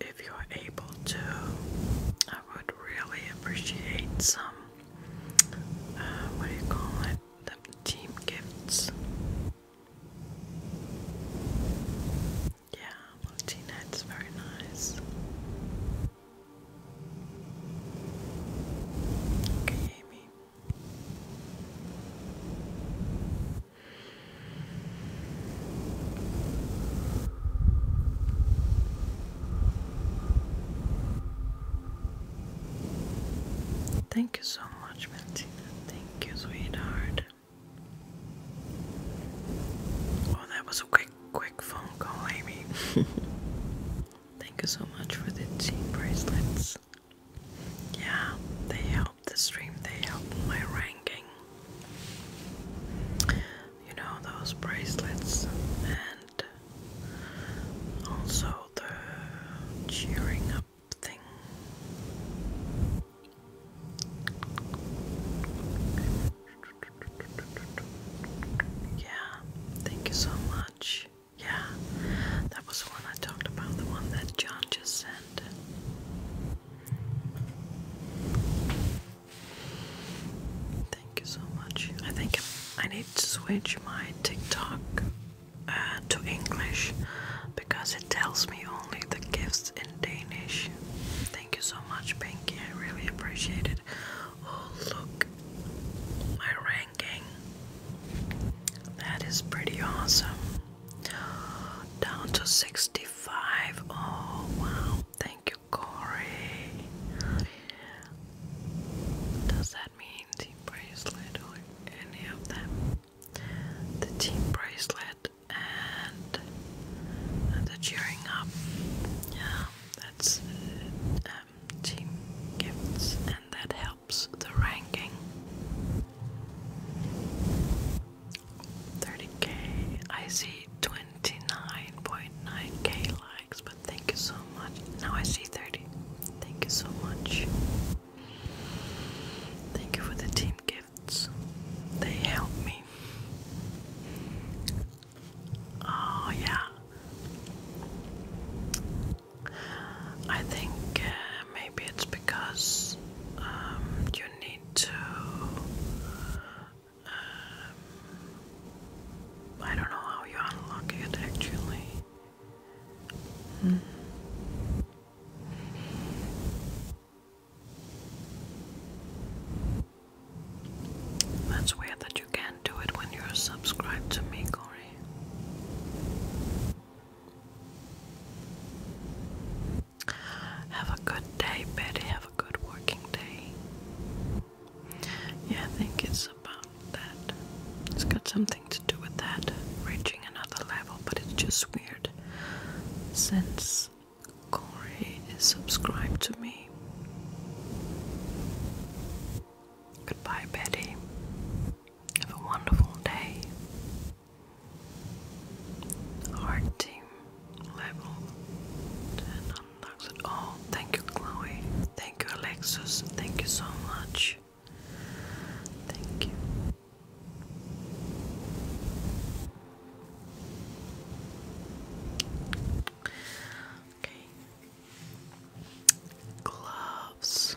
If you are able to, I would really appreciate some, uh, what do you call it, the team gifts. Yeah, Martina, it's very nice. Okay, Amy. Thank you so much, Martina. Thank you, sweetheart. Oh, that was a quick, quick phone call, Amy. Thank you so much for the team bracelets. Yeah, they help the stream, they help my ranking. You know, those bracelets and also the cheering up thing. Yeah, thank you so much. Yeah, that was the one I talked about, the one that John just sent. Thank you so much. I think I need to switch my TikTok uh, to English because it tells me only the gifts Danish. Thank you so much, Pinky. I really appreciate it. Oh, look, my ranking. That is pretty awesome. Down to 65. Oh, wow. Thank you, Corey. Does that mean the bracelet or any of them? the team bracelet and the cheering up. Yeah, that's um, team gifts, and that helps the ranking. 30k, I see 29.9k likes, but thank you so much. Now I see 30. Thank you so much. Thank you for the team gifts. They help me. Oh, yeah. I think uh, maybe it's because um, you need to. Um, I don't know how you unlock it actually. Hmm. That's weird that you can't do it when you're subscribed to me, Corey. Have a good day, Betty. Have a good working day. Yeah, I think it's about that. It's got something to do with that, reaching another level, but it's just weird since Corey is subscribed to me. Goodbye, Betty. Have a wonderful day. Heart team level 10 unlocked. Oh, thank you, Chloe. Thank you, Alexis. Thank you so much. Thank you. Gloves.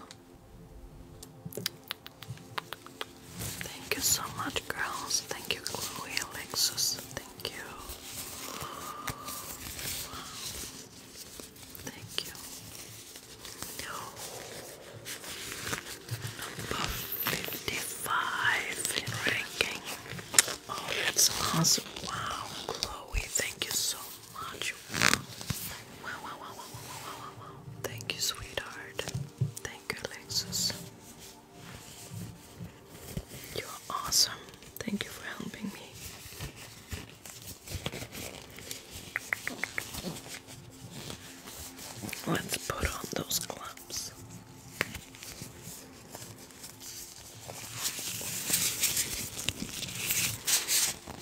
Thank you so much, girls. Thank you, Chloe, Alexis. Thank you. Thank you. 55 in ranking. Oh, that's awesome. Wow, Chloe, thank you so much. Wow, wow, wow, wow, wow, wow, wow, wow. Thank you, sweetheart. Thank you, Alexis. You're awesome. Thank you for helping me. Let's put on those gloves.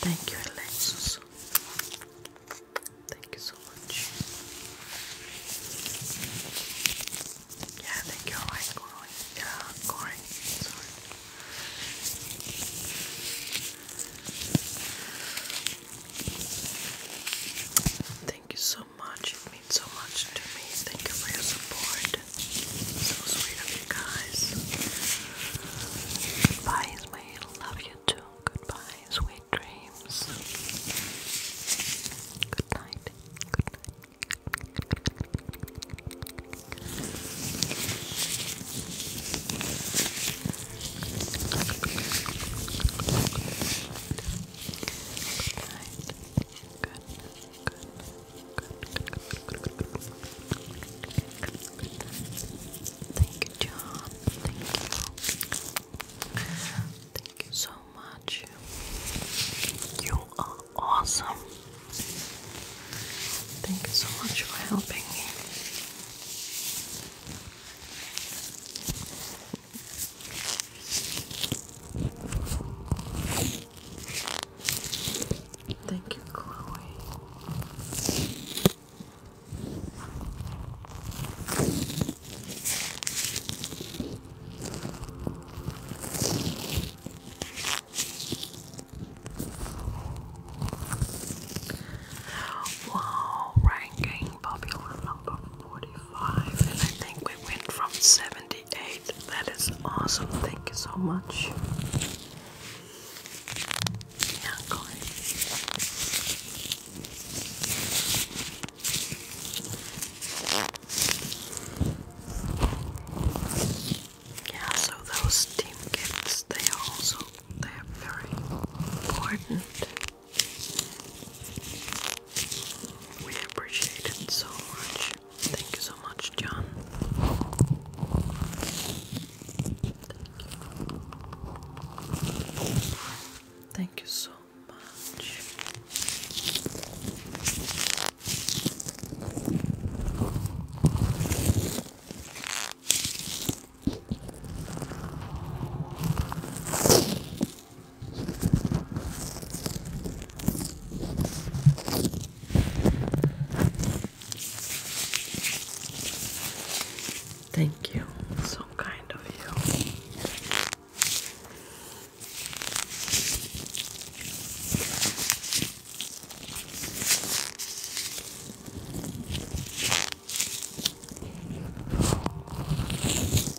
Thank you, Alexis. Thank you so much. Yeah, thank you. Alright, Yeah, Corin. Sorry. Thank you so much. It means so much to me. Thank you for your support. So sweet of you guys. Goodbye, Ismail. Love you too. Goodbye. Sweet dreams. Good night. Good night. Thank you, John. Thank you. Thank you so much. You are awesome. Thank you so much for helping me. Thank you, Chloe. Wow, ranking popular number 45, and I think we went from 78. That is awesome. Thank you so much. Yeah, so those team gifts, they also, they are very important. We appreciate it so much. Thank you so much, John. Thank you, so much. Thank you. So kind of you.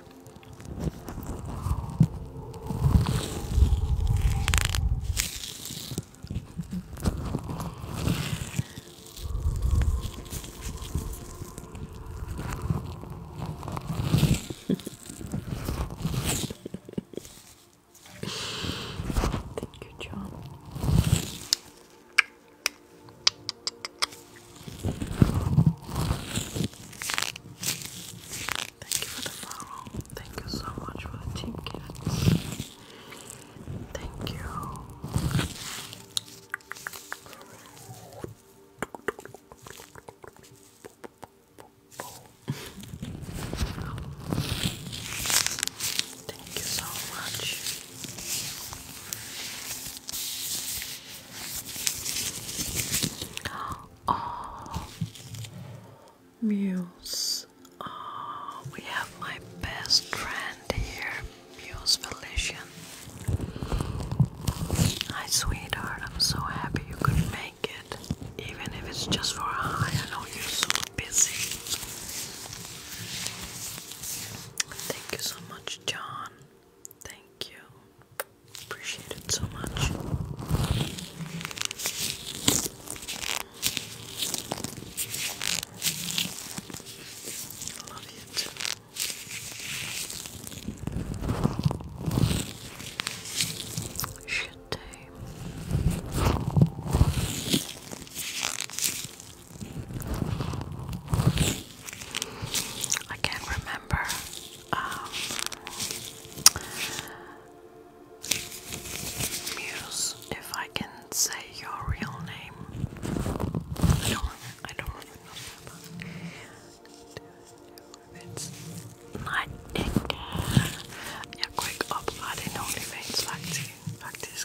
okay. Thank you, John. Thank you for the Thank you so much for the team kids. Thank you. Thank you so much. Oh, Muse. Oh, we have my best friend here, Muse Felician. Hi, sweetheart. I'm so happy you could make it, even if it's just for a high. I know you're so busy. Thank you so much, John. Thank you. Appreciate it so much. Love you too. Shit I can't remember um, Muse, if I can say your real name. I don't, I don't even know that, it's Nightingale. Yeah, quick upload in OnlyFans like this. Like this.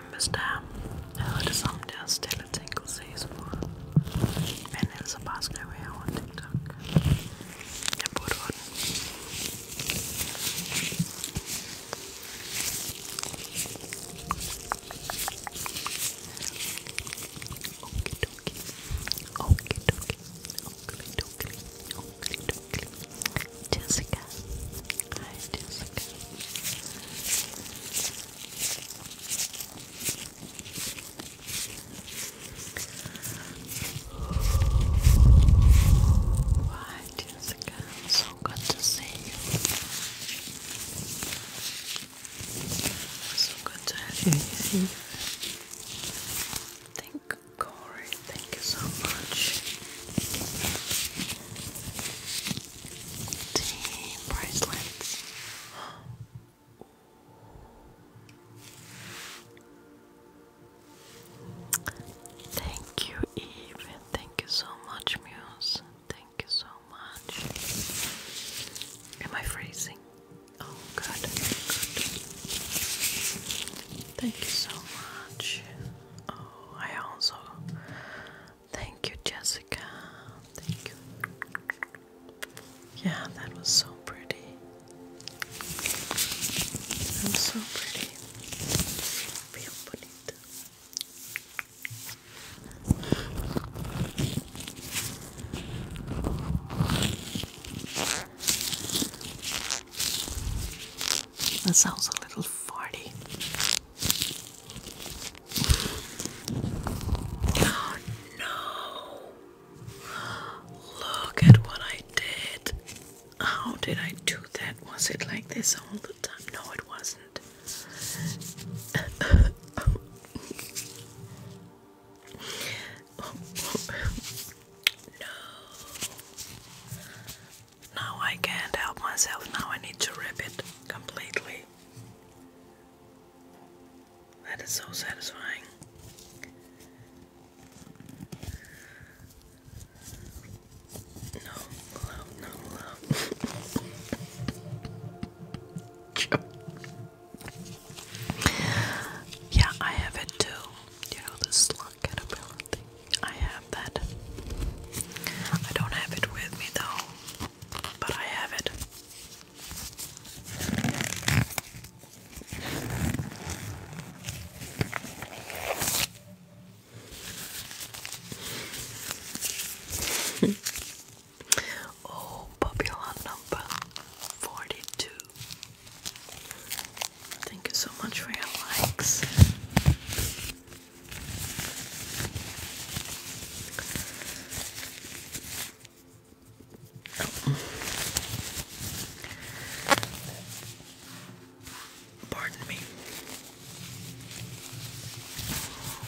November's down. I heard some down still a Jessica. Hi, Jessica. So good to see you. So good to have you here. Thank Corey, thank you so much the bracelets. Thank you, Eve. Thank you so much, Muse. Thank you so much. Am I freezing? Oh, good. Thank you so much. Oh, I also Thank you, Jessica. Thank you. Yeah, that was so pretty. That was so pretty. Feel bonito. That sounds a little farty. Oh no! Look at what I did. How did I do that? Was it like this all the time? No, it wasn't. no. Now I can't help myself. Now I need to rip it completely. That is so satisfying. No love, no love. yeah, I have it too. You know the slug caterpillar thing. I have that. I don't have it with me though but I have it. oh, popular number forty two. Thank you so much for your likes. Oh. Pardon me.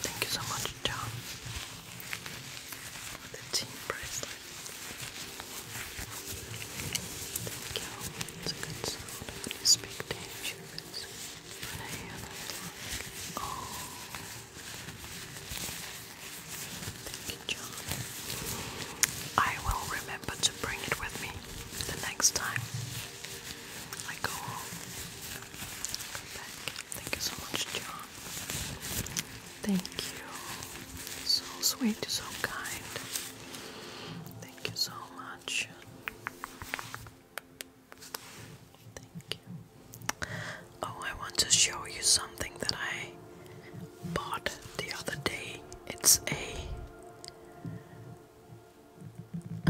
Thank you so much, John. For the team bracelet. Thank you. It's a good sound. When you speak Good job. I will remember to bring it with me the next time I go back. Thank you so much, John. Thank you. So sweet, so kind. Thank you so much. Oh, I want to show you something that I bought the other day. It's a.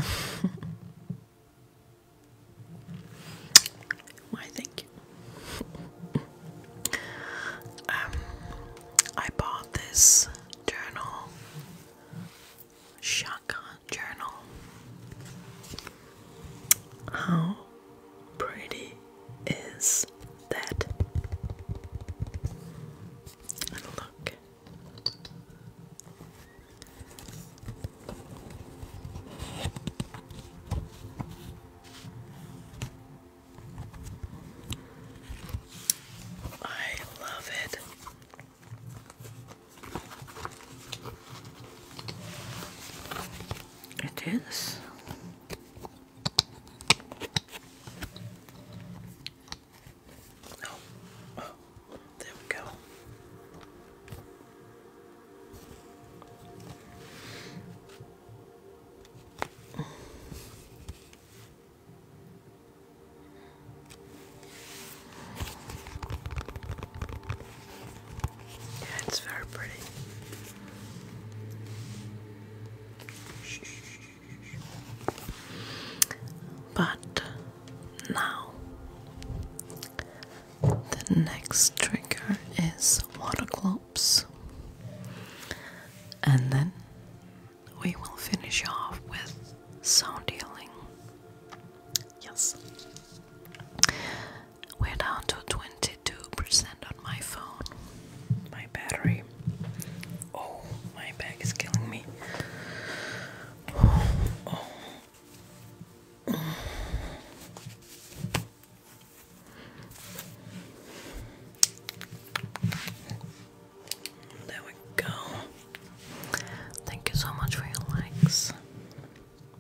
Why, thank you. um, I bought this journal Shaka journal. How pretty is that? look. I love it. It is. Oh, oh, there we go. Yeah, it's very pretty. But now the next trigger is water and then we will finish off with sound healing. Yes. We're down to 22% on my phone. My battery. Oh, my back is killing me. There we go. Thank you so much for your likes.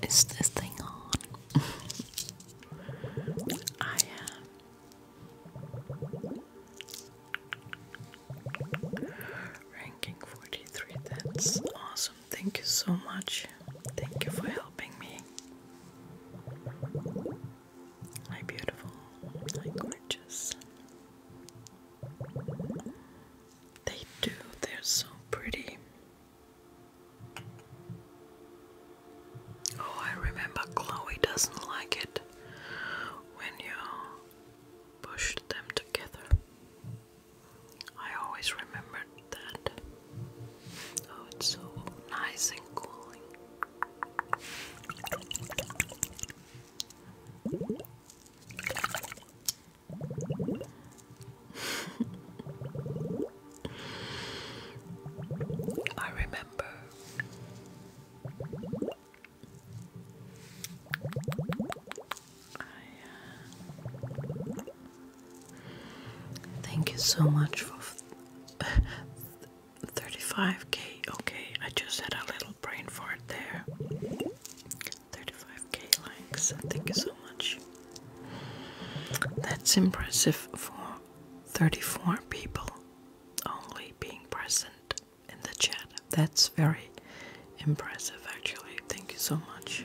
is this thing on? I am ranking 43. That's awesome. Thank you so much. Thank you for helping me. My beautiful, my gorgeous. They do, they're so pretty. Oh, I remember Chloe doesn't like it when you push them together. I always remembered that. Oh, it's so nice and cooling. I remember uh, Thank you so much for 35k. Okay, I just had a little brain fart there. 35k likes. Thank you so much. That's impressive for 34 people only being present in the chat. That's very impressive, actually. Thank you so much.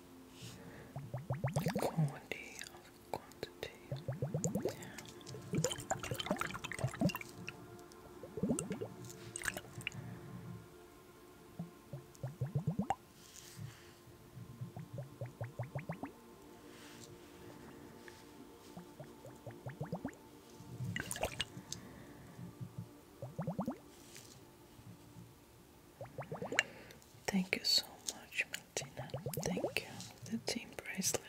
quality of quantity. Thank you so much, Martina. Thank you. The team bracelet.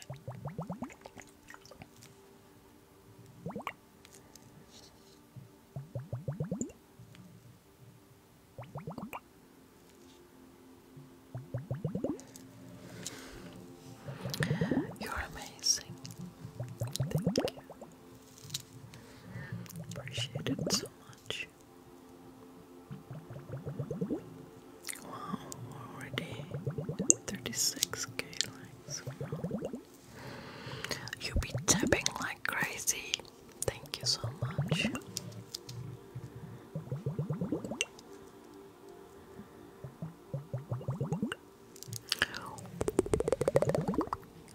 You're amazing. Thank you. Appreciate it so much. Wow, already 36k likes. You be tapping like crazy. Thank you so much.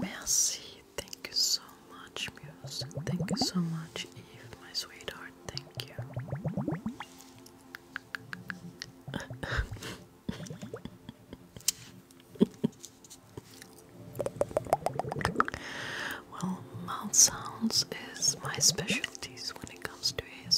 Merci, thank you so much, Muse. Thank you so much, Eve, my sweetheart. Thank you. well, mouth sounds is my specialties when it comes to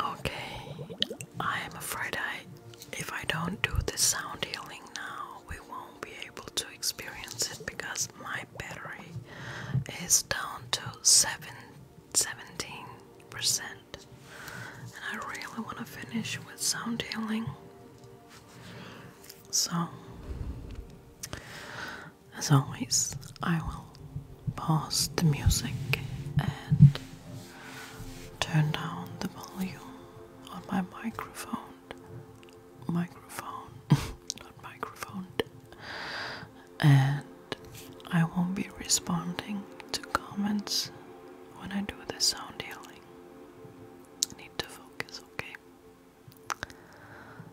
Okay, I am afraid I, if I don't do the sound healing now, we won't be able to experience it because my battery is down to seven, 17%. And I really want to finish with sound healing. So, as always, I will pause the music and turn down the volume on my microphone. Microphone, not microphone. And I won't be responding to comments when I do the sound healing. I need to focus, okay?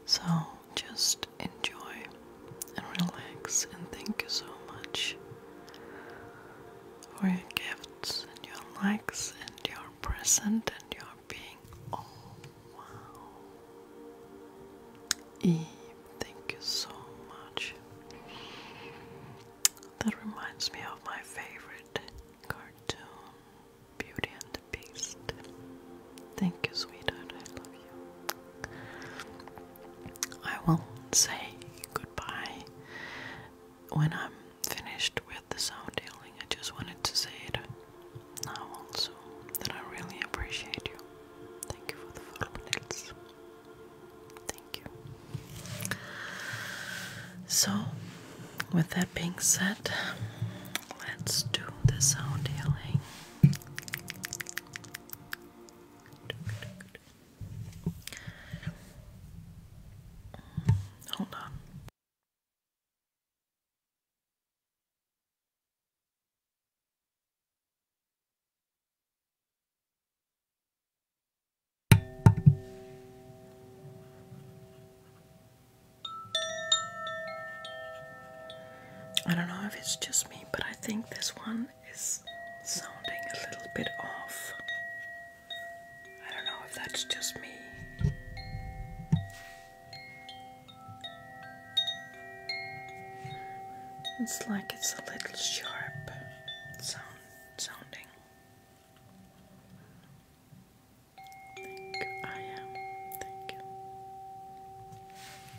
So, just enjoy and relax and thank you so much for your gifts and your likes and your present and your being. Oh wow. Eve, thank you so much. That reminds me of my favorite cartoon, Beauty and the Beast. Thank you, sweetheart. I love you. I will say goodbye when I'm finished with the sound healing. I just wanted to say it now also that I really appreciate you. Thank you for the follow minutes. Thank you. So, with that being said, let's do the sound healing. Hold on. I don't know if it's just me, but I think this one is sounding a little bit off. I don't know if that's just me. It's like it's a little sharp sound sounding.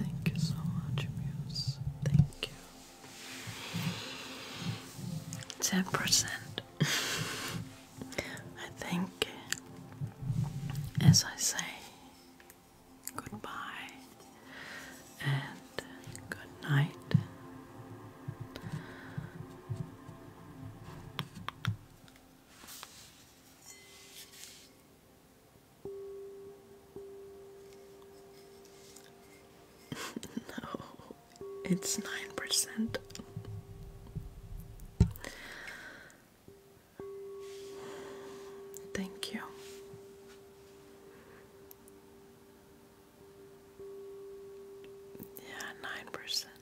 Thank you so much, Muse. Thank you. Ten percent. I think, as I say, goodbye and good night. no, it's nine percent. Thank you. Yeah, nine percent.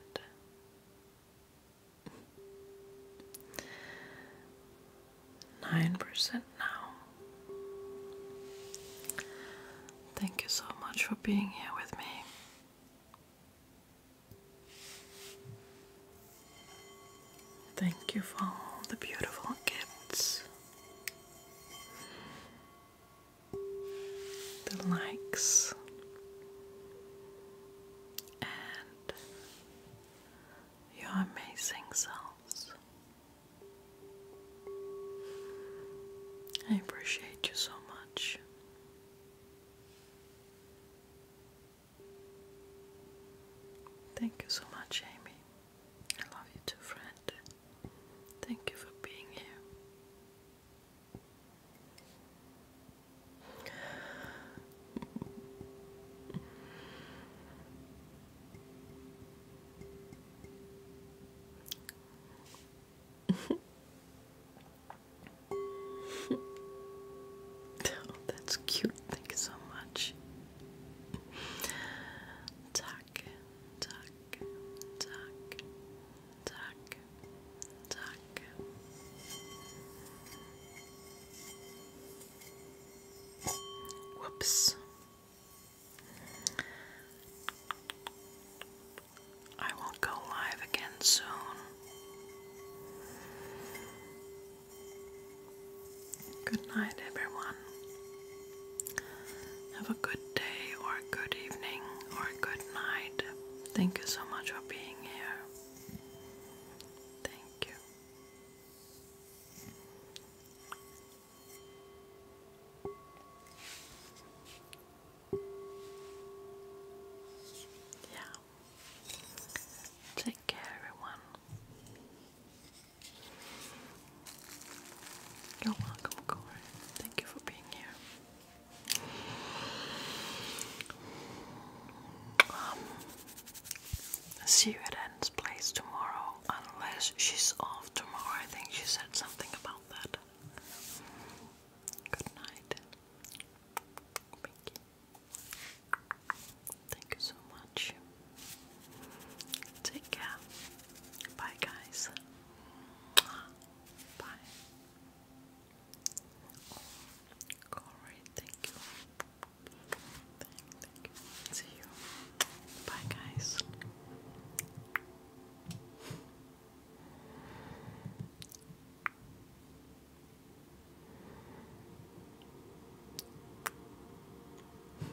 Nine percent now. Thank you so much for being here with me. Thank you for all the beautiful gifts, the likes, and your amazing selves. I appreciate you so much. Thank you so much, Amy. I love you too, friend. Thank you for being here. oh, that's cute. Thank you so much tuck, tuck, tuck, tuck, Whoops. I will go live again soon. Good night, everyone. Have a good day, or a good evening, or a good night. Thank you so much for being here. Thank you. Yeah. Take care, everyone. You're welcome, Corey. Thank you for being here. Um, see you at Anne's place tomorrow, unless she's off tomorrow. I think she said something about that. Good night, Pinky. Thank you so much. Take care. Bye, guys. Bye. Oh, thank you. thank you. See you. Bye, guys.